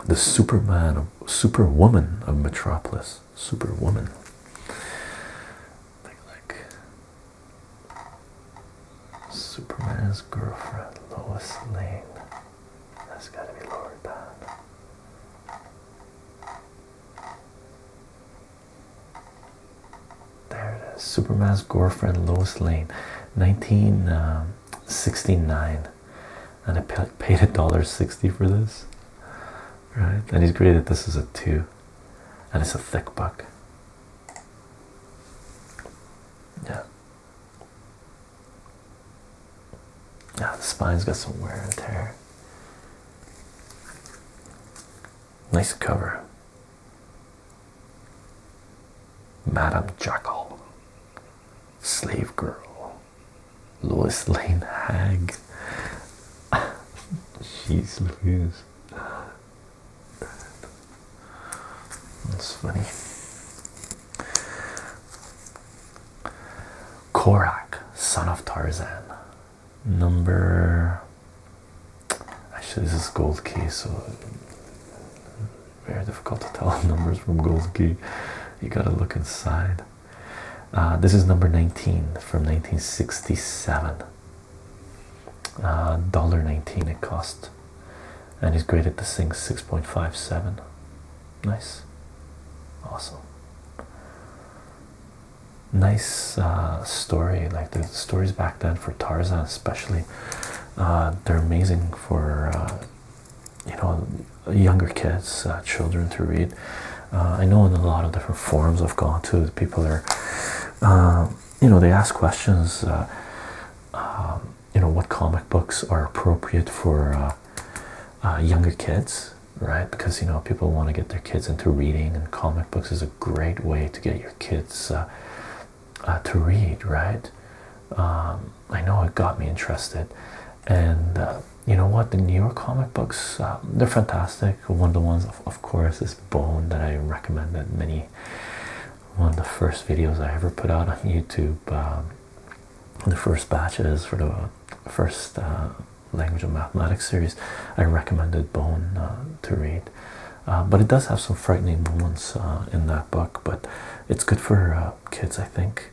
The Superman, Superwoman of Metropolis. Superwoman. Like, like Superman's girlfriend, Lois Lane. That's gotta be Lord. down. There it is. Superman's girlfriend Lois Lane, 1969. Um, and I paid a dollar sixty for this. Right? And he's graded this as a two. And it's a thick buck. Yeah. Yeah, the spine's got some wear and tear. Nice cover. Madam Jackal, Slave Girl, Lois Lane Hag. She's *laughs* Louise. That's funny. Korak, son of Tarzan. Number. Actually, this is Gold Key, so very difficult to tell *laughs* numbers from Gold Key. You gotta look inside. Uh, this is number 19 from 1967. Uh, dollar 19 it cost and he's graded the thing 6.57 nice awesome nice uh, story like the stories back then for Tarzan especially uh, they're amazing for uh, you know younger kids children to read I know in a lot of different forums I've gone to people are you know they ask questions um, you know what comic books are appropriate for uh, uh, younger kids, right? Because you know people want to get their kids into reading, and comic books is a great way to get your kids uh, to read, right? Um, I know it got me interested, and you know what? The newer comic books they're fantastic. One of the ones, of, of course, is Bone that I recommended many. One of the first videos I ever put out on YouTube. Um, the first batches for the first uh, language of mathematics series, I recommended Bone uh, to read. Uh, but it does have some frightening moments in that book, but it's good for kids, I think.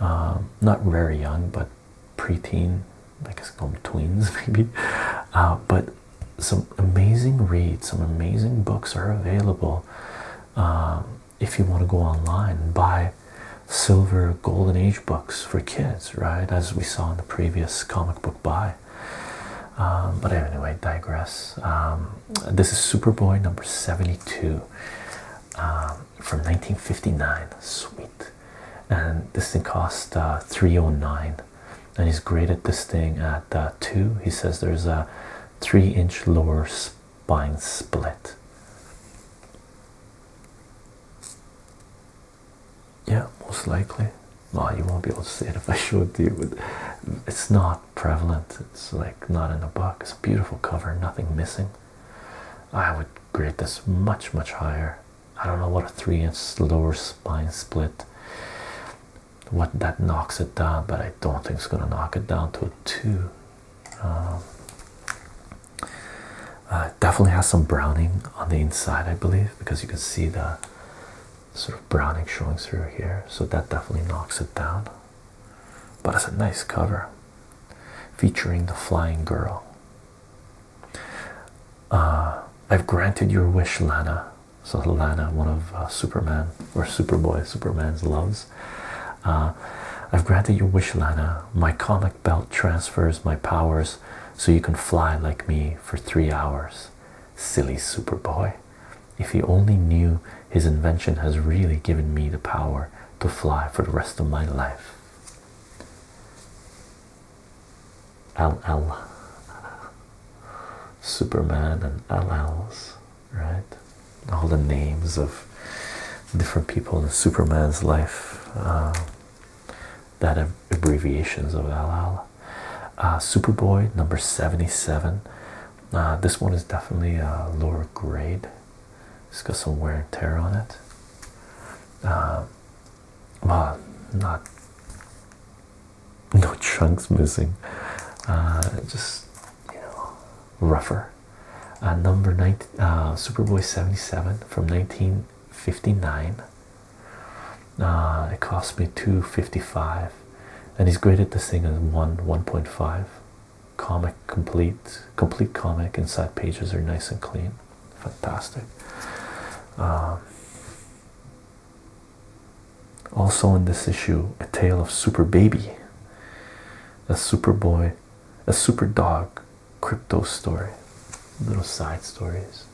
Um, not very young, but preteen, I guess call them tweens *laughs* maybe. but some amazing reads, some amazing books are available. Um, if you want to go online and buy silver golden age books for kids, right? As we saw in the previous comic book buy. Um, but anyway, digress. Um, this is Superboy number 72 um, from 1959. Sweet. And this thing cost uh, 309 and he's graded this thing at uh, two. He says there's a three inch lower buying split. Yeah, most likely. Well, you won't be able to see it *laughs* if I show it to you. It's not prevalent. It's like not in the book. It's a beautiful cover, nothing missing. I would grade this much, much higher. I don't know what a three-inch lower spine split. What that knocks it down, but I don't think it's gonna knock it down to a two. Um, definitely has some browning on the inside, I believe, because you can see the sort of browning showing through here. So that definitely knocks it down. But it's a nice cover featuring the flying girl. Uh, I've granted your wish, Lana. So Lana, one of uh, Superman or Superboy, Superman's loves. Uh, I've granted your wish, Lana. My comic belt transfers my powers so you can fly like me for three hours. Silly Superboy. If he only knew his invention has really given me the power to fly for the rest of my life. LL. Superman and LLs right? All the names of different people in Superman's life uh, that have abbreviations of LL. Uh, Superboy number 77. Uh, this one is definitely a lower grade, it's got some wear and tear on it. well, not no *laughs* chunks missing, just you know, rougher. Uh, number 19 uh, Superboy 77 from 1959. Uh, it cost me 255 and he's graded this thing as 1 1.5 comic complete complete comic inside pages are nice and clean fantastic um, also in this issue a tale of super baby a Superboy, a superdog, crypto story, little side stories.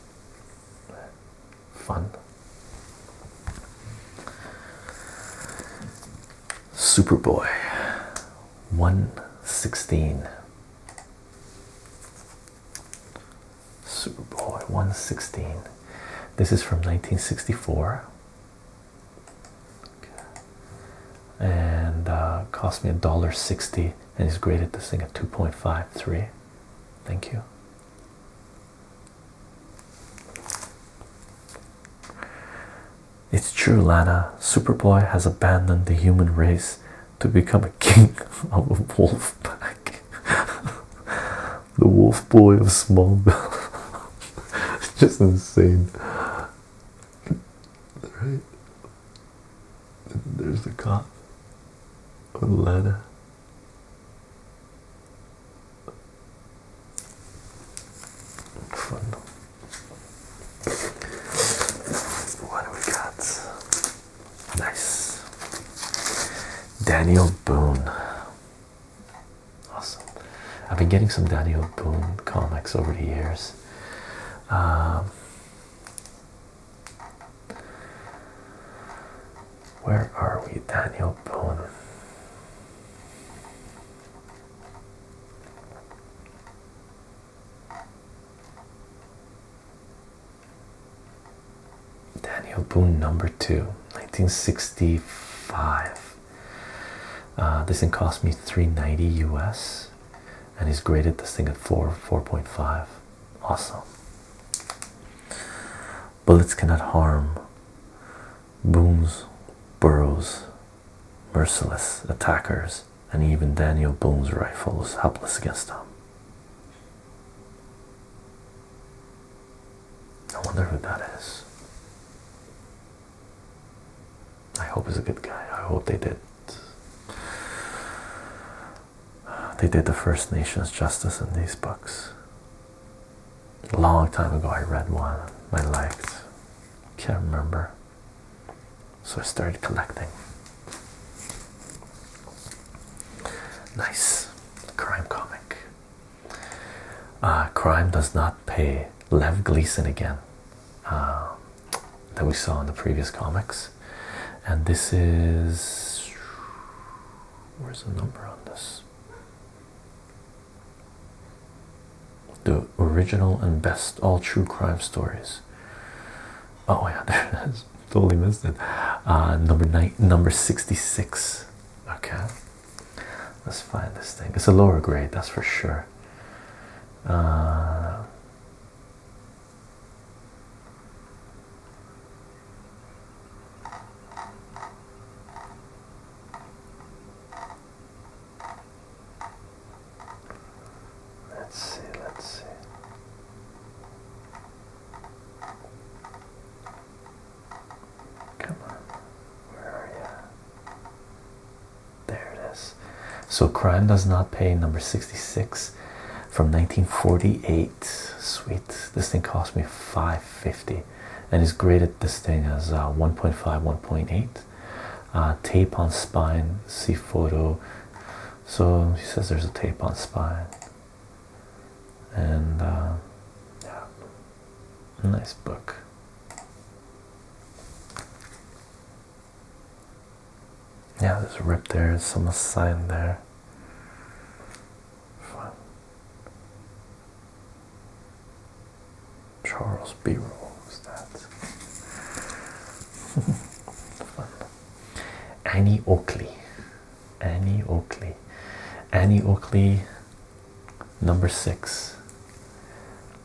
Fun. Superboy 116. Superboy 116. This is from 1964 and uh, cost me a dollar sixty and he's graded this thing at 2.53 thank you it's true lana superboy has abandoned the human race to become a king *laughs* of a wolf pack *laughs* the wolf boy of small *laughs* it's *laughs* just insane. Right? There's the cop with ladder. What do we got? Nice. Daniel Boone. Awesome. I've been getting some Daniel Boone comics over the years. Um, where are we, Daniel Boone? Daniel Boone number two, 1965. Uh, this thing cost me 390 US and he's graded this thing at 4 4.5. Awesome. Bullets cannot harm. Booms burrows merciless attackers and even Daniel Boone's rifle was helpless against them. I wonder who that is. I hope he's a good guy. I hope they did. They did the First Nations justice in these books. A long time ago, I read one I liked. Can't remember. So I started collecting. Nice crime comic. Ah, crime does not pay. Lev Gleason again, um, that we saw in the previous comics, and this is where's the number on this? The original and best all true crime stories. Oh yeah, *laughs* there it is. Totally missed it. Uh, number nine, number sixty-six. Okay. Let's find this thing. It's a lower grade, that's for sure. Uh, let's see, let's see. Come on, where are you? There it is. So, Crime Does Not Pay, number 66 from 1948. Sweet, this thing cost me 550 and is graded this thing as uh, 1.5, 1.8. Uh, tape on spine, see photo. So, he says there's a tape on spine. And uh, yeah, Nice book. Yeah, there's a rip there, there's some sign there. Fun. Charles B. Roll was that. *laughs* Fun. Annie Oakley. Annie Oakley. Annie Oakley Number six,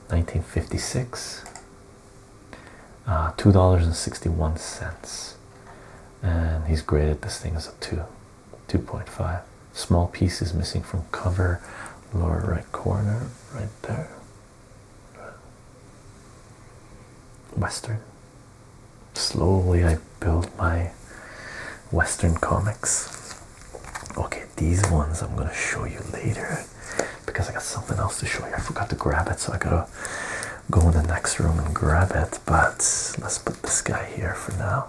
1956, uh, $2.61. And he's graded this thing as a 2, 2.5. Small pieces missing from cover, lower right corner, right there. Western. Slowly, I build my Western comics. Okay these ones I'm gonna show you later because I got something else to show you. I forgot to grab it, so I gotta go in the next room and grab it. But let's put this guy here for now.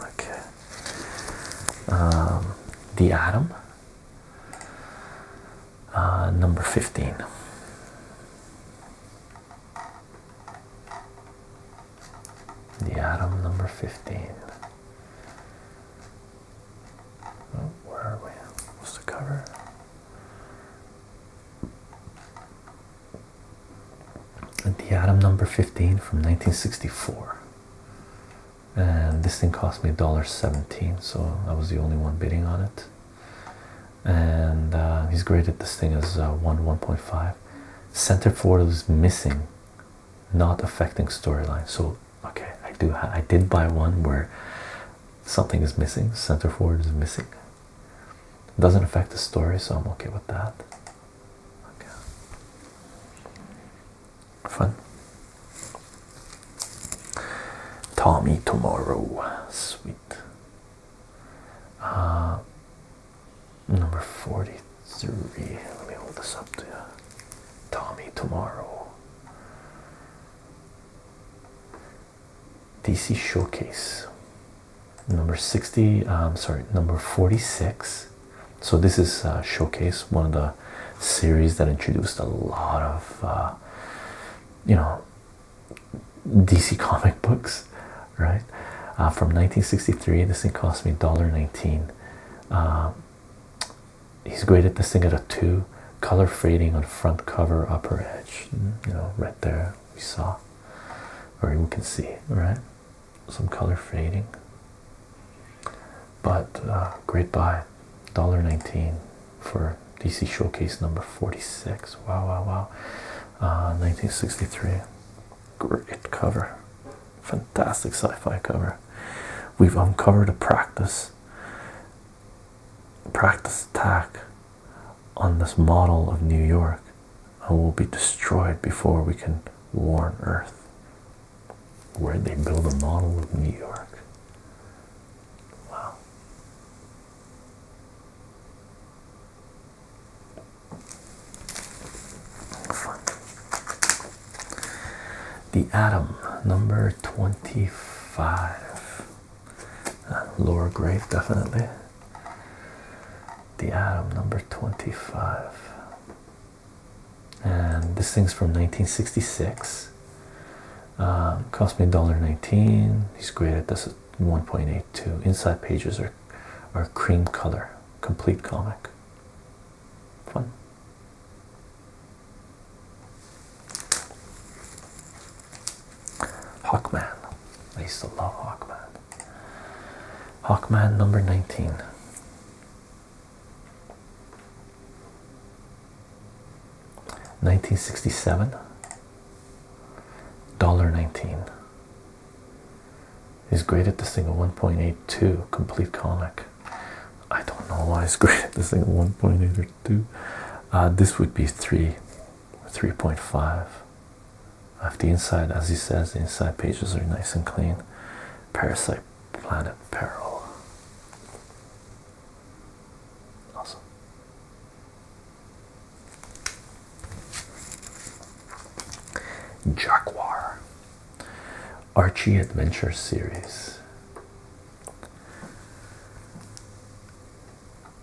Okay. Um, the Atom, uh, number 15. The atom number 15. where are we? What's the cover? The atom number 15 from 1964. And this thing cost me $1.17, so I was the only one bidding on it. And uh, he's graded this thing as uh, 1 1.5. Center forward is missing not affecting storyline. So okay, I do I did buy one where something is missing, center forward is missing. Doesn't affect the story, so I'm okay with that. Okay. Fun. Tommy tomorrow. Sweet. Uh Number 43. Let me hold this up to you. Tommy Tomorrow. DC Showcase. Number 60. i uh, I'm sorry, number 46. So, this is uh, Showcase, one of the series that introduced a lot of, uh, you know, DC comic books right? Uh, from 1963, this thing cost me $1.19. Uh, he's graded this thing at a 2. Color fading on front cover, upper edge. Mm, you know, right there we saw, or we can see, right? Some color fading. But uh, great buy, $1.19 for DC Showcase number 46. Wow, wow, wow. 1963. Uh, Great cover. Fantastic sci fi cover. We've uncovered a practice practice attack on this model of New York and will be destroyed before we can warn Earth. Where'd they build a model of New York? Wow. The Atom, number 25. Uh, lower grade, definitely. The Atom, number 25. And this thing's from 1966. Um, cost me $1.19. He's graded this at 1.82. Inside pages are, are cream color, complete comic. Fun. Hawkman. I used to love Hawkman. Hawkman number 19. Nineteen sixty seven dollar nineteen is great at this thing at 1.82 complete comic. I don't know why he's *laughs* graded this thing at 1.8 or 2. Uh, this would be 3, 3.5. I have the inside, as he says, the inside pages are nice and clean. Parasite Planet Peril. Awesome. Jaguar Archie Adventure Series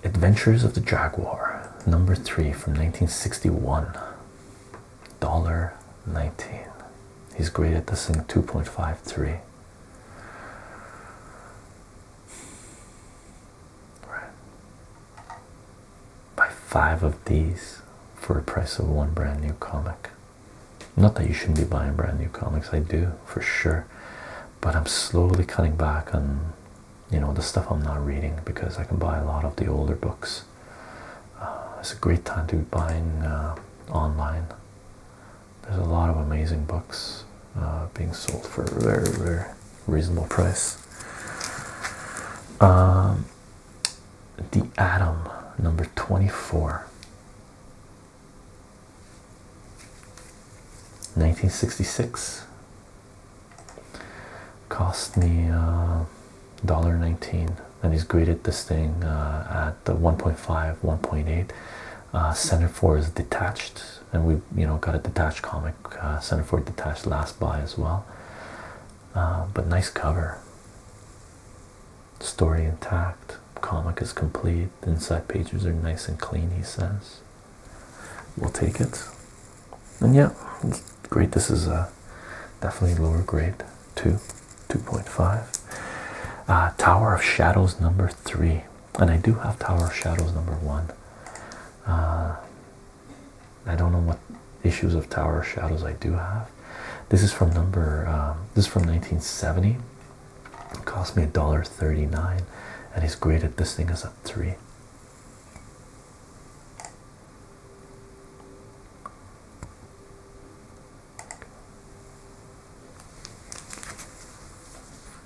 Adventures of the Jaguar, number three from 1961. Dollar nineteen. He's graded this in 2.53 buy five of these for a price of one brand new comic. Not that you shouldn't be buying brand new comics, I do for sure, but I'm slowly cutting back on you know the stuff I'm not reading because I can buy a lot of the older books. Uh, it's a great time to be buying uh, online. There's a lot of amazing books uh, being sold for a very, very reasonable price. Um, the Atom, number 24. 1966 cost me uh, $1.19 and he's graded this thing uh, at the 1.5 1.8 uh, center four is detached and we you know got a detached comic uh, center four detached last buy as well uh, but nice cover. Story intact, comic is complete, inside pages are nice and clean, he says. We'll take it. And yeah, great. This is a uh, definitely lower grade, 2, 2.5. Uh, Tower of Shadows number 3. And I do have Tower of Shadows number 1. I don't know what issues of Tower Shadows I do have. This is from number. Um, this is from 1970. cost me a dollar thirty-nine, and he's graded this thing as a three.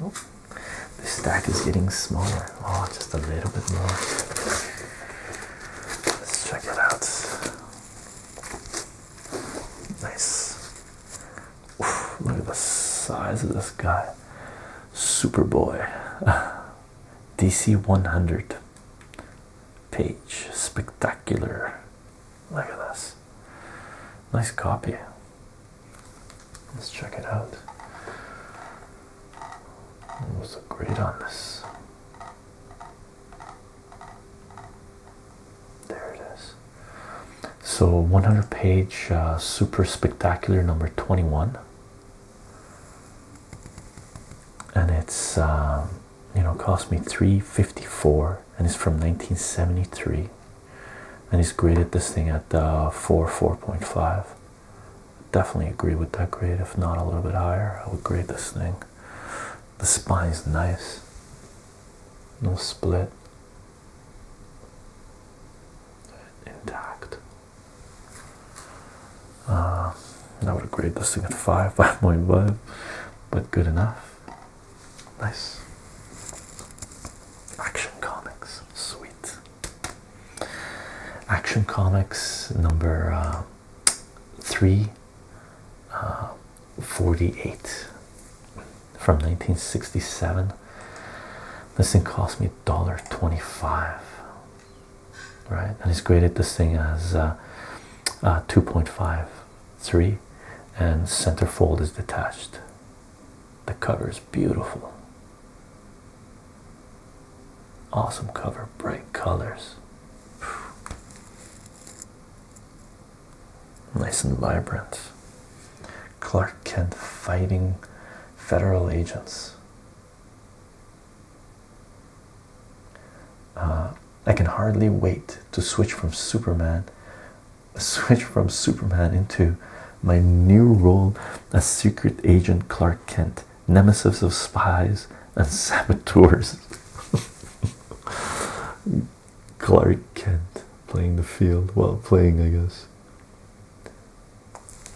Oh, the stack is getting smaller. Oh, just a little bit more. Let's check it out. Nice. look at the size of this guy. Superboy. *laughs* DC 100 page. Spectacular. Look at this. Nice copy. Let's check it out. What's the on this? There it is. So 100 page uh, super spectacular number 21. And it's um, you know cost me 354 and it's from 1973 and he's graded this thing at uh, 4 4.5 Definitely agree with that grade, if not a little bit higher. I would grade this thing. The spine's nice, no split, intact. Uh, I would grade this thing at 5, 5.5, *laughs* but good enough. Nice. Action Comics, sweet. Action Comics number. Uh, Three uh, forty-eight from 1967 this thing cost me $1.25 right and it's graded this thing as uh, uh, 2.53 and fold is detached the cover is beautiful Awesome cover, bright colors. Nice and vibrant. Clark Kent fighting federal agents. Uh, I can hardly wait to switch from Superman, *laughs* switch from Superman into my new role as secret agent Clark Kent nemesis of spies and saboteurs. *laughs* Clark Kent playing the field while playing, I guess.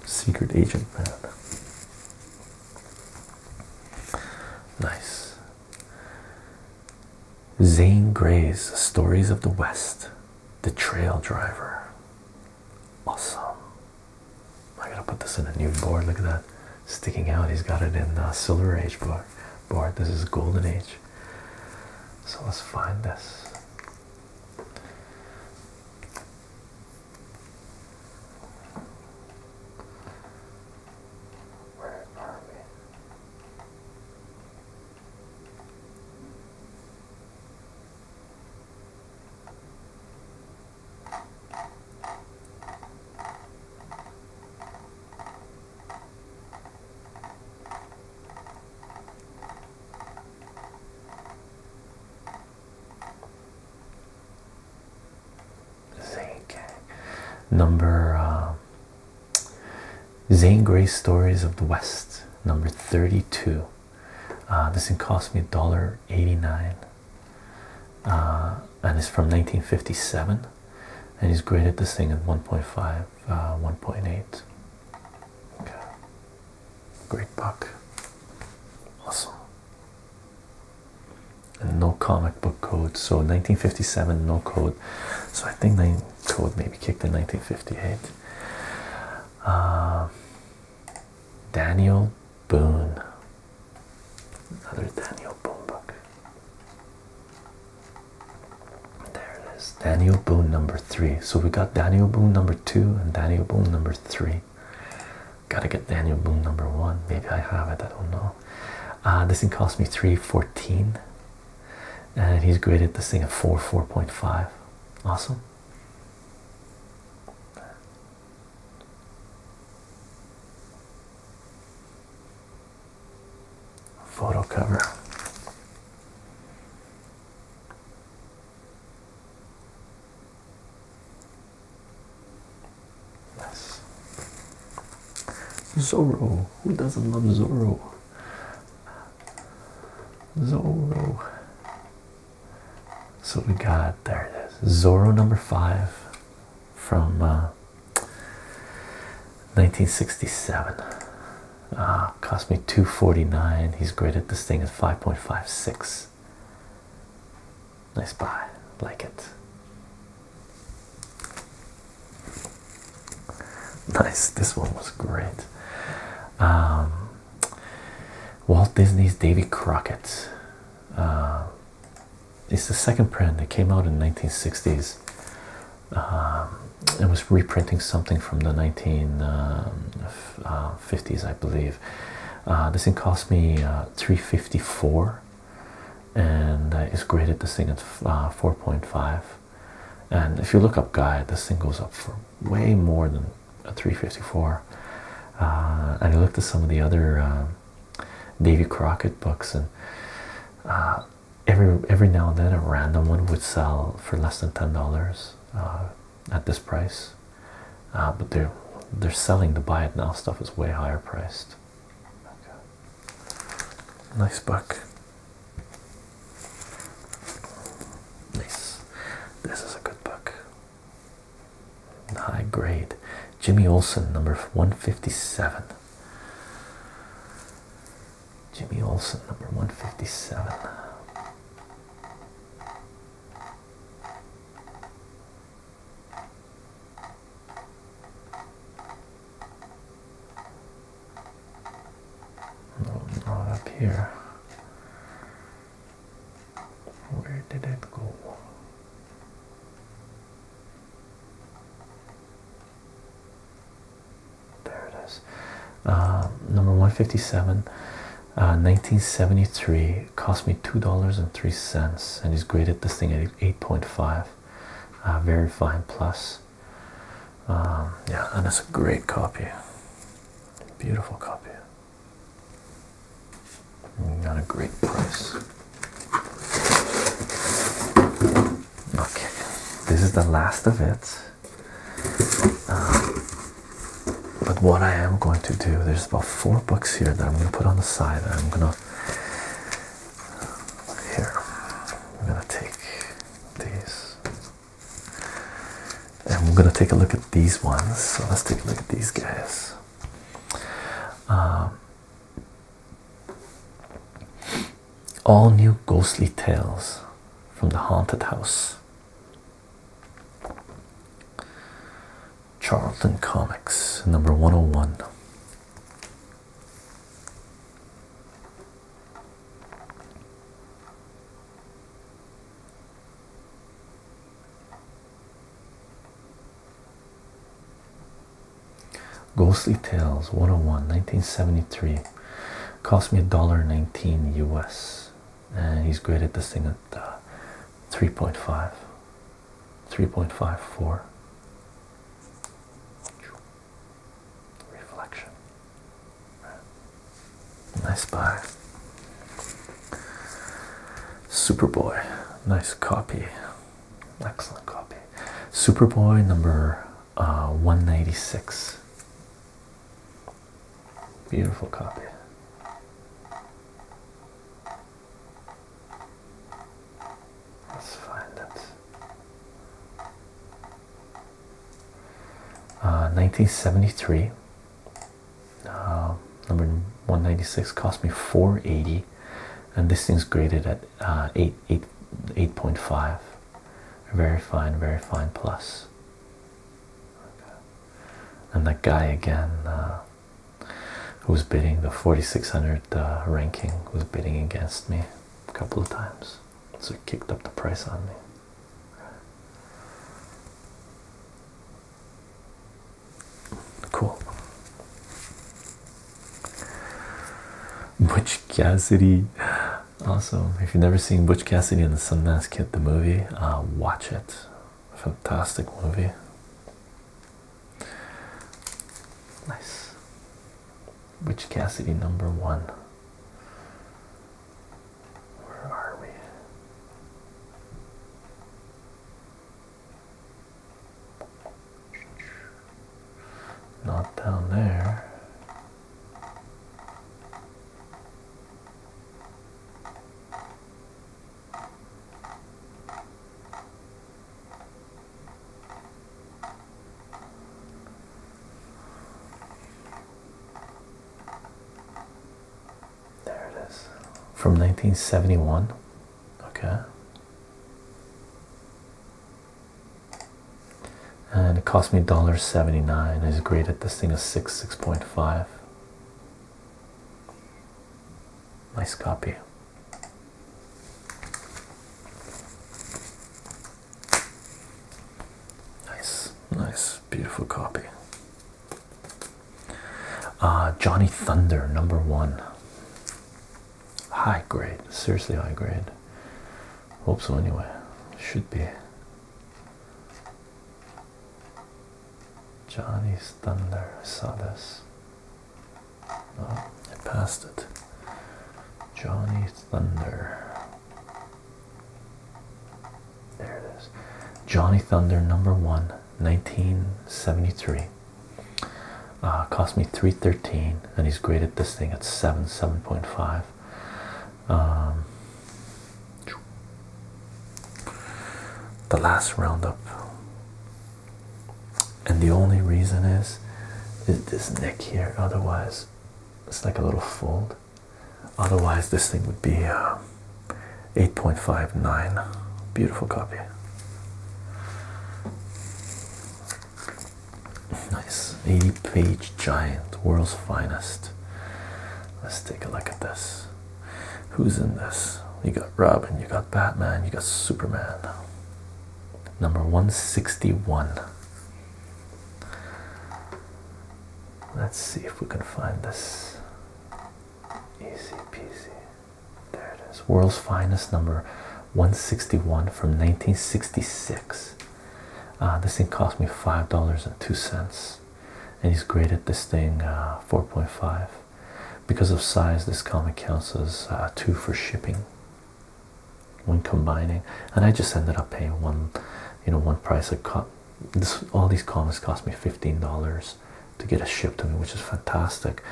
Secret agent man. Nice. Zane Gray's Stories of the West, The Trail Driver. Awesome. I gotta put this in a new board. Look at that sticking out. He's got it in uh, Silver Age board. board. This is Golden Age. So let's find this. ZK. Number uh, Zane Grey Stories of the West, number 32. Uh, this thing cost me $1.89. Uh, and it's from 1957 and he's graded this thing at 1.5 uh, 1.8 great book awesome and no comic book code so 1957 no code so i think the code maybe kicked in 1958 uh, daniel Boone. Another Daniel Boone book. There it is. Daniel Boone number three. So we got Daniel Boone number two and Daniel Boone number three. Gotta get Daniel Boone number one. Maybe I have it, I don't know. Uh, this thing cost me 314 and he's graded this thing a 4 4.5. Awesome. Photo cover. Yes. Zorro. Who doesn't love Zorro? Zorro. So we got there it is. Zorro number five from 1967 uh, ah, cost me 249 he's graded this thing at 5.56 nice buy like it nice this one was great um, Walt Disney's Davy Crockett uh, it's the second print that came out in 1960s. Um, it was reprinting something from the 1950s, um, uh, I believe. Uh, this thing cost me uh, 354 and it's graded this thing at 4.5 and if you look up guide this thing goes up for way more than a 354 and you look at some of the other um, um, Davy Crockett books, and uh, every every now and then a random one would sell for less than ten dollars uh, at this price. Uh, but they're they're selling the buy it now stuff is way higher priced. Nice book. Nice. This is a good book high grade. Jimmy Olson number 157. Jimmy Olson number 157. Not up here. Where did it go? There it is. Uh, number 157, 1973, uh, cost me $2.03, and he's graded this thing at 8.5. Uh, very fine plus. Um, yeah, and it's a great copy. Beautiful copy. Not a great price. Okay, this is the last of it. Uh, but what I am going to do, there's about four books here that I'm going to put on the side. I'm going to here. I'm going to take these, and we're going to take a look at these ones. So let's take a look at these guys. Um, all new ghostly tales from the haunted house. Charlton Comics, number 101. Ghostly Tales 101 1973 cost me a dollar 19 US and he's graded this thing at uh, 3.5 3.54 reflection nice buy Superboy nice copy Excellent copy. Superboy number uh, 196. Beautiful copy. Let's find it. 1973. Uh, um, number 196 cost me 480 and this thing's graded at uh, very fine very fine plus and that guy again uh, who was bidding the 4600 uh, ranking was bidding against me a couple of times so he kicked up the price on me Cool. Butch Cassidy. Awesome. If you've never seen Butch Cassidy and the Sundance Kid, the movie, uh, watch it. Fantastic movie. Nice. Butch Cassidy number one. Where are we? Not down there. There it is. From 1971 okay and it cost me $1.79 I just graded this thing is 6 6.5 nice copy nice nice beautiful copy uh, Johnny Thunder, number one. High grade, seriously high grade. Hope so, anyway. Should be. Johnny's Thunder, I saw this. Oh, I passed it. Johnny Thunder. There it is. Johnny Thunder number one. 1973 uh, cost me 313 and he's graded this thing at 7 7.5 um, the last roundup and the only reason is is this neck here otherwise it's like a little fold otherwise this thing would be uh, 8.59 beautiful copy Nice 80 page giant, world's finest. Let's take a look at this. Who's in this? You got Robin, you got Batman, you got Superman. Number 161. Let's see if we can find this. Easy peasy. There it is. World's Finest number 161 from 1966. Uh, this thing cost me $5.02. And he's graded this thing uh, 4.5. Because of size, this comic counts as uh, 2 for shipping when combining. And I just ended up paying one, you know, one price. a cut. all these comics cost me $15 to get it shipped to me, which is fantastic.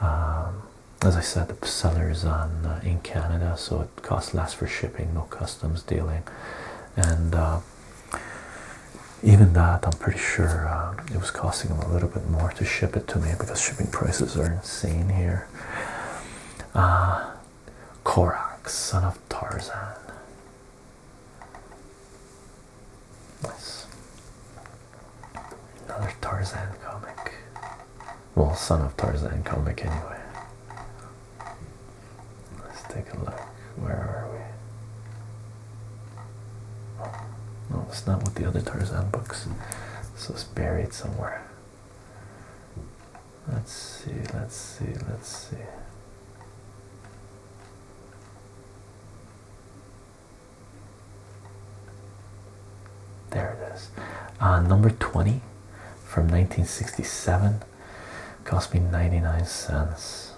Um, as I said, the seller is uh, in Canada, so it costs less for shipping, no customs dealing, and uh, even that, I'm pretty sure uh, it was costing him a little bit more to ship it to me because shipping prices are insane here. Korak, son of Tarzan. Nice. Another Tarzan comic. Well, son of Tarzan comic, anyway. Let's take a look. Where are we? Oh, no, it's not with the other Tarzan books. So it's buried somewhere. Let's see, let's see, let's see. There it is. Uh, number 20 from 1967 cost me 99 cents.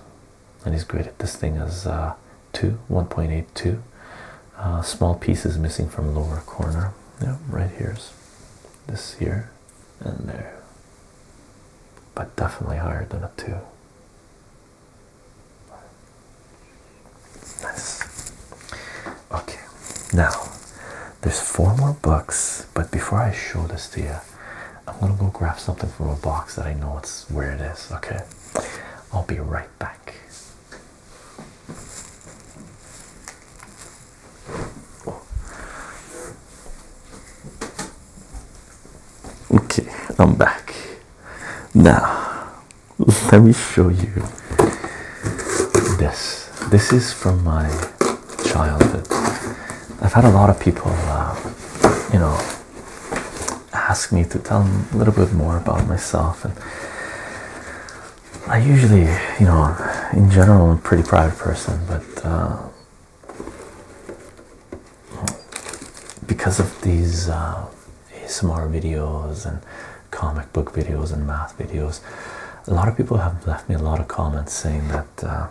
And he's graded this thing as uh, 2, 1.82. Uh, small pieces missing from lower corner. Yeah, right here's this here and there. But definitely higher than a 2. Nice. Okay, now there's four more books, but before I show this to you, I'm gonna go grab something from a box that I know it's where it is. Okay, I'll be right back. Okay, I'm back now. *laughs* let me show you this. This is from my childhood. I've had a lot of people, uh, you know, ask me to tell them a little bit more about myself. And I usually, you know, in general, I'm a pretty private person, but uh, because of these uh, ASMR videos and comic book videos and math videos. A lot of people have left me a lot of comments saying that uh,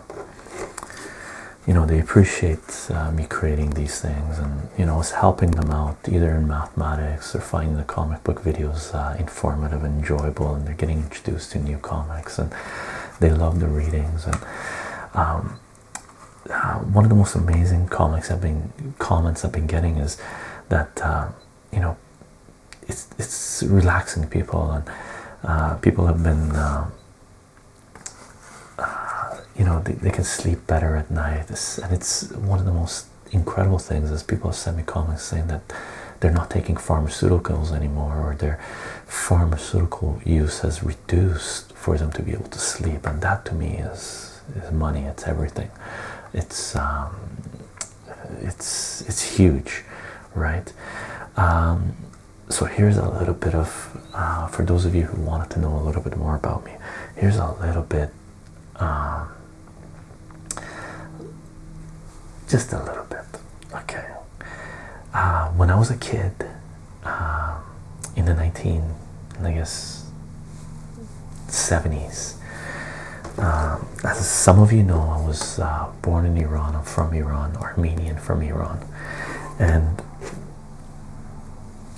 you know they appreciate uh, me creating these things and you know it's helping them out either in mathematics or finding the comic book videos uh, informative and enjoyable and they're getting introduced to new comics and they love the readings and um, uh, one of the most amazing comments I've been getting is that uh, you know it's it's relaxing people and uh, people have been you know they, can sleep better at night and it's one of the most incredible things is people have sent me comments saying that they're not taking pharmaceuticals anymore or their pharmaceutical use has reduced for them to be able to sleep and that to me is is, money. It's everything. It's um, it's it's huge, right? Um, so here's a little bit of uh, for those of you who wanted to know a little bit more about me. Here's a little bit, um, just a little bit. Okay. Uh, when I was a kid, in the 19 I guess 70s um, as some of you know I was uh, born in Iran I'm from Iran Armenian from Iran and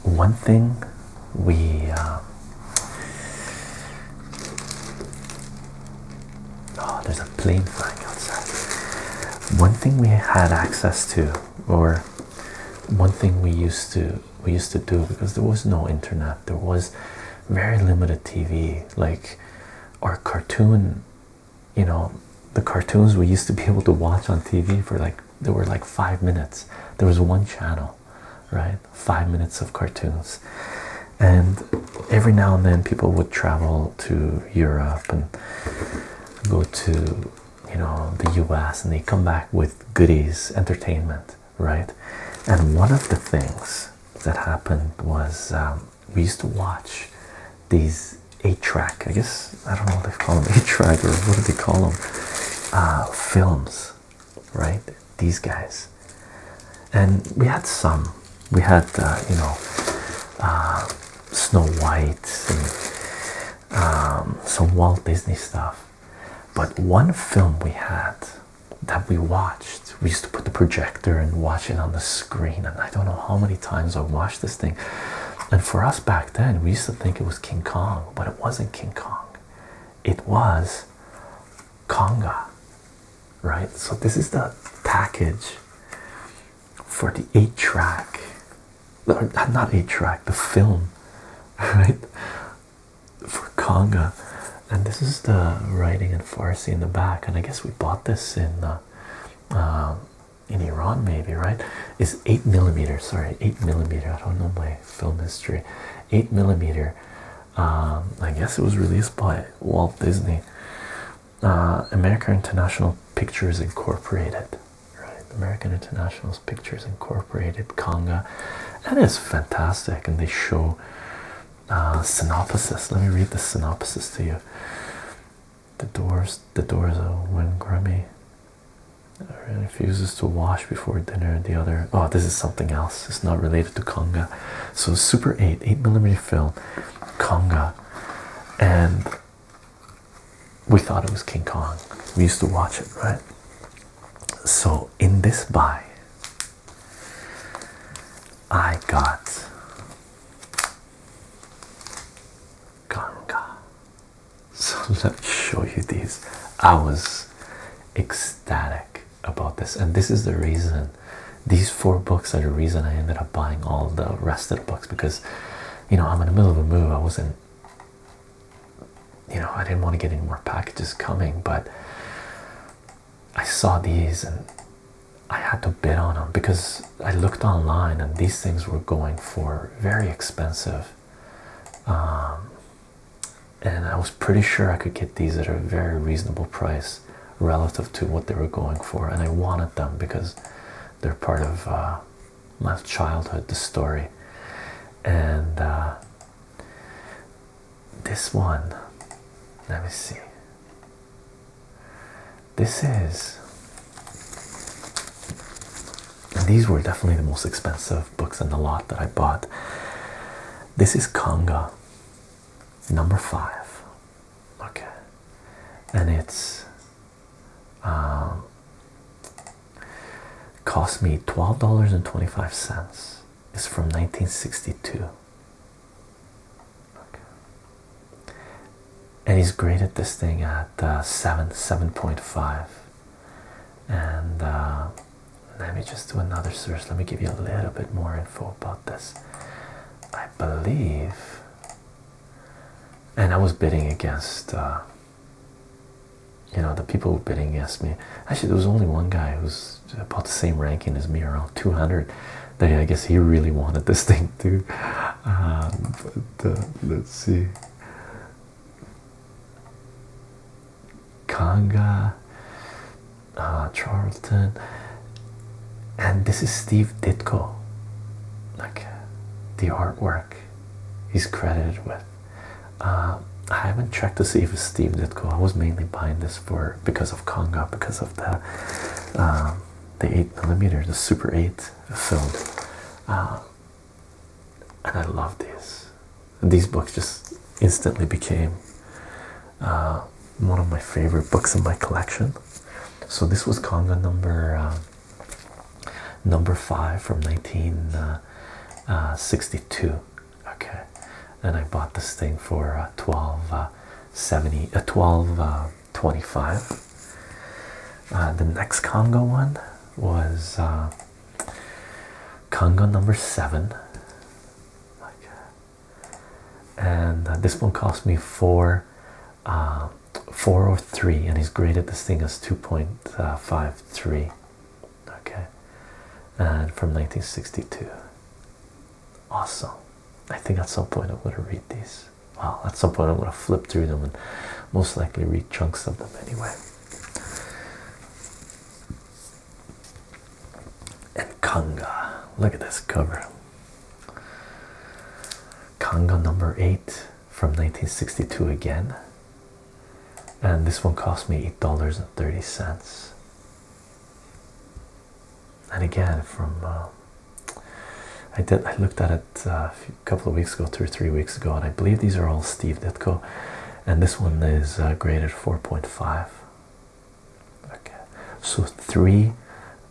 one thing we uh, oh there's a plane flying outside one thing we had access to or one thing we used to we used to do because there was no internet, there was very limited TV. Like our cartoon, you know, the cartoons we used to be able to watch on TV for like there were like five minutes. There was one channel, right? Five minutes of cartoons. And every now and then people would travel to Europe and go to you know the US and they come back with goodies entertainment right and one of the things that happened was um, we used to watch these 8 track I guess I don't know what they call them *laughs* 8 track or what do they call them uh, films right these guys and we had some we had uh, you know uh, Snow White and um, some Walt Disney stuff but one film we had that we watched, we used to put the projector and watch it on the screen. And I don't know how many times I watched this thing. And for us back then, we used to think it was King Kong, but it wasn't King Kong, it was Conga, right? So, this is the package for the eight track, not eight track, the film, *laughs* right? for Conga, and this is the writing in Farsi in the back. And I guess we bought this in uh, uh, in Iran, maybe right? It's eight millimeter. Sorry, eight millimeter. I don't know my film history. Eight millimeter. Um, I guess it was released by Walt Disney, uh, America International Pictures Incorporated, right? American International Pictures Incorporated, Conga, and it's fantastic. And they show uh, synopsis. Let me read the synopsis to you. The doors, the doors are when Grummy uh, refuses to wash before dinner. The other, oh, this is something else. It's not related to Conga. So Super Eight, eight millimeter film, Conga, and we thought it was King Kong. We used to watch it, right? So in this buy, I got Ganga. So *laughs* let me show you these. I was ecstatic about this, and this is the reason these four books are the reason I ended up buying all the rest of the books because you know I'm in the middle of a move. I wasn't you know, I didn't want to get any more packages coming, but I saw these and I had to bid on them because I looked online and these things were going for very expensive. Um, and I was pretty sure I could get these at a very reasonable price relative to what they were going for, and I wanted them because they're part of uh, my childhood, the story. And uh, this one, let me see. This is, these were definitely the most expensive books in the lot that I bought. This is Conga number five, okay, and it's um, Cost me $12.25. It's from 1962. Okay. And he's graded this thing at uh, 7, 7.5. And uh, let me just do another search. Let me give you a little bit more info about this. I believe. And I was bidding against uh, you know, the people bidding against me. Actually, there was only one guy who's about the same ranking as me, around 200. That I guess he really wanted this *laughs* thing too. but um, let's see. Kanga, uh, Charlton, and this is Steve Ditko. Like the artwork he's credited with uh, I haven't checked to see if Steve did go. I was mainly buying this for because of Conga, because of the um, the eight millimeter, the Super Eight film, uh, and I love these. These books just instantly became uh, one of my favorite books in my collection. So this was Conga number uh, number five from 1962. Uh, uh, okay, and I bought this thing for uh, 12 uh, uh the next Congo one was Congo number seven. And this one cost me four, four or oh three, and he's graded this thing as two point five three okay and from 1962 awesome i think at some point i'm going to read these well at some point i'm going to flip through them and most likely read chunks of them anyway and Conga, look at this cover Conga number eight from 1962 again and this one cost me eight dollars and thirty cents. And again, from uh, I did I looked at it uh, a couple of weeks ago, two or three weeks ago, and I believe these are all Steve Ditko, and this one is uh, graded four point five. Okay, so three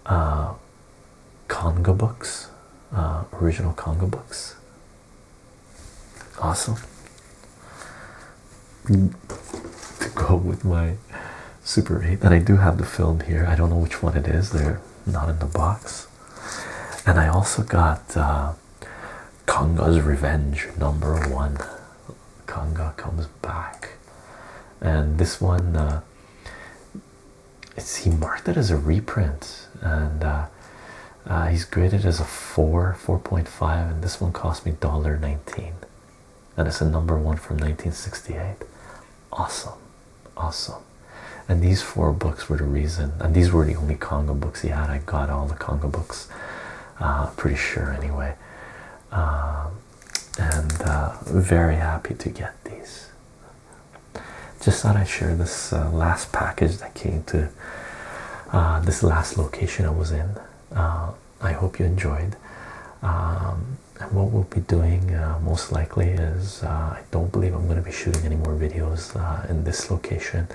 uh, Congo books, original Congo books Awesome. To go with my Super 8, and I do have the film here. I don't know which one it is, they're not in the box. And I also got Conga's uh, Revenge number one. Conga comes back, and this one uh, it's he marked it as a reprint, and uh, uh, he's graded as a 4, 4.5, and this one cost me nineteen, And it's a number one from 1968. Awesome. Awesome. And these four books were the reason, and these were the only Congo books he had. I got all the Congo books, uh, pretty sure anyway. Um, and uh, very happy to get these. Just thought I'd share this last package that came to uh, this last location I was in. Uh, I hope you enjoyed. Um, and what we'll be doing uh, most likely is I don't believe I'm going to be shooting any more videos in this location.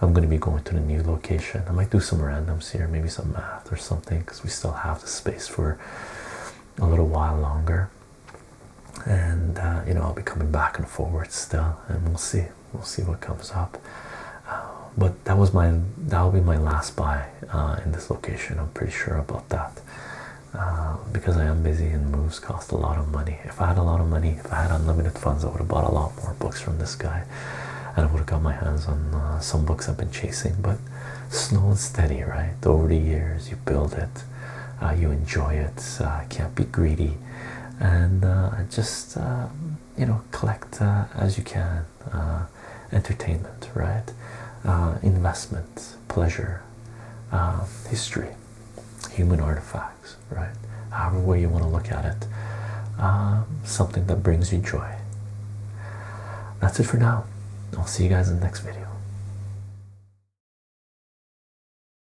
I'm going to be going to the new location. I might do some randoms here, maybe some math or something, because we still have the space for a little while longer. And you know, I'll be coming back and forward still, and we'll see. We'll see what comes up. Uh, but that was my that'll be my last buy uh, in this location. I'm pretty sure about that uh, because I am busy and moves cost a lot of money. If I had a lot of money, if I had unlimited funds, I would have bought a lot more books from this guy, and I would have got my hands on some books I've been chasing. But slow and steady, right? Over the years, you build it, you enjoy it. can't be greedy, and just you know, collect uh, as you can, uh, entertainment, right? Uh, investment, pleasure, history, human artifacts, right? However way you want to look at it, um, something that brings you joy. That's it for now. I'll see you guys in the next video.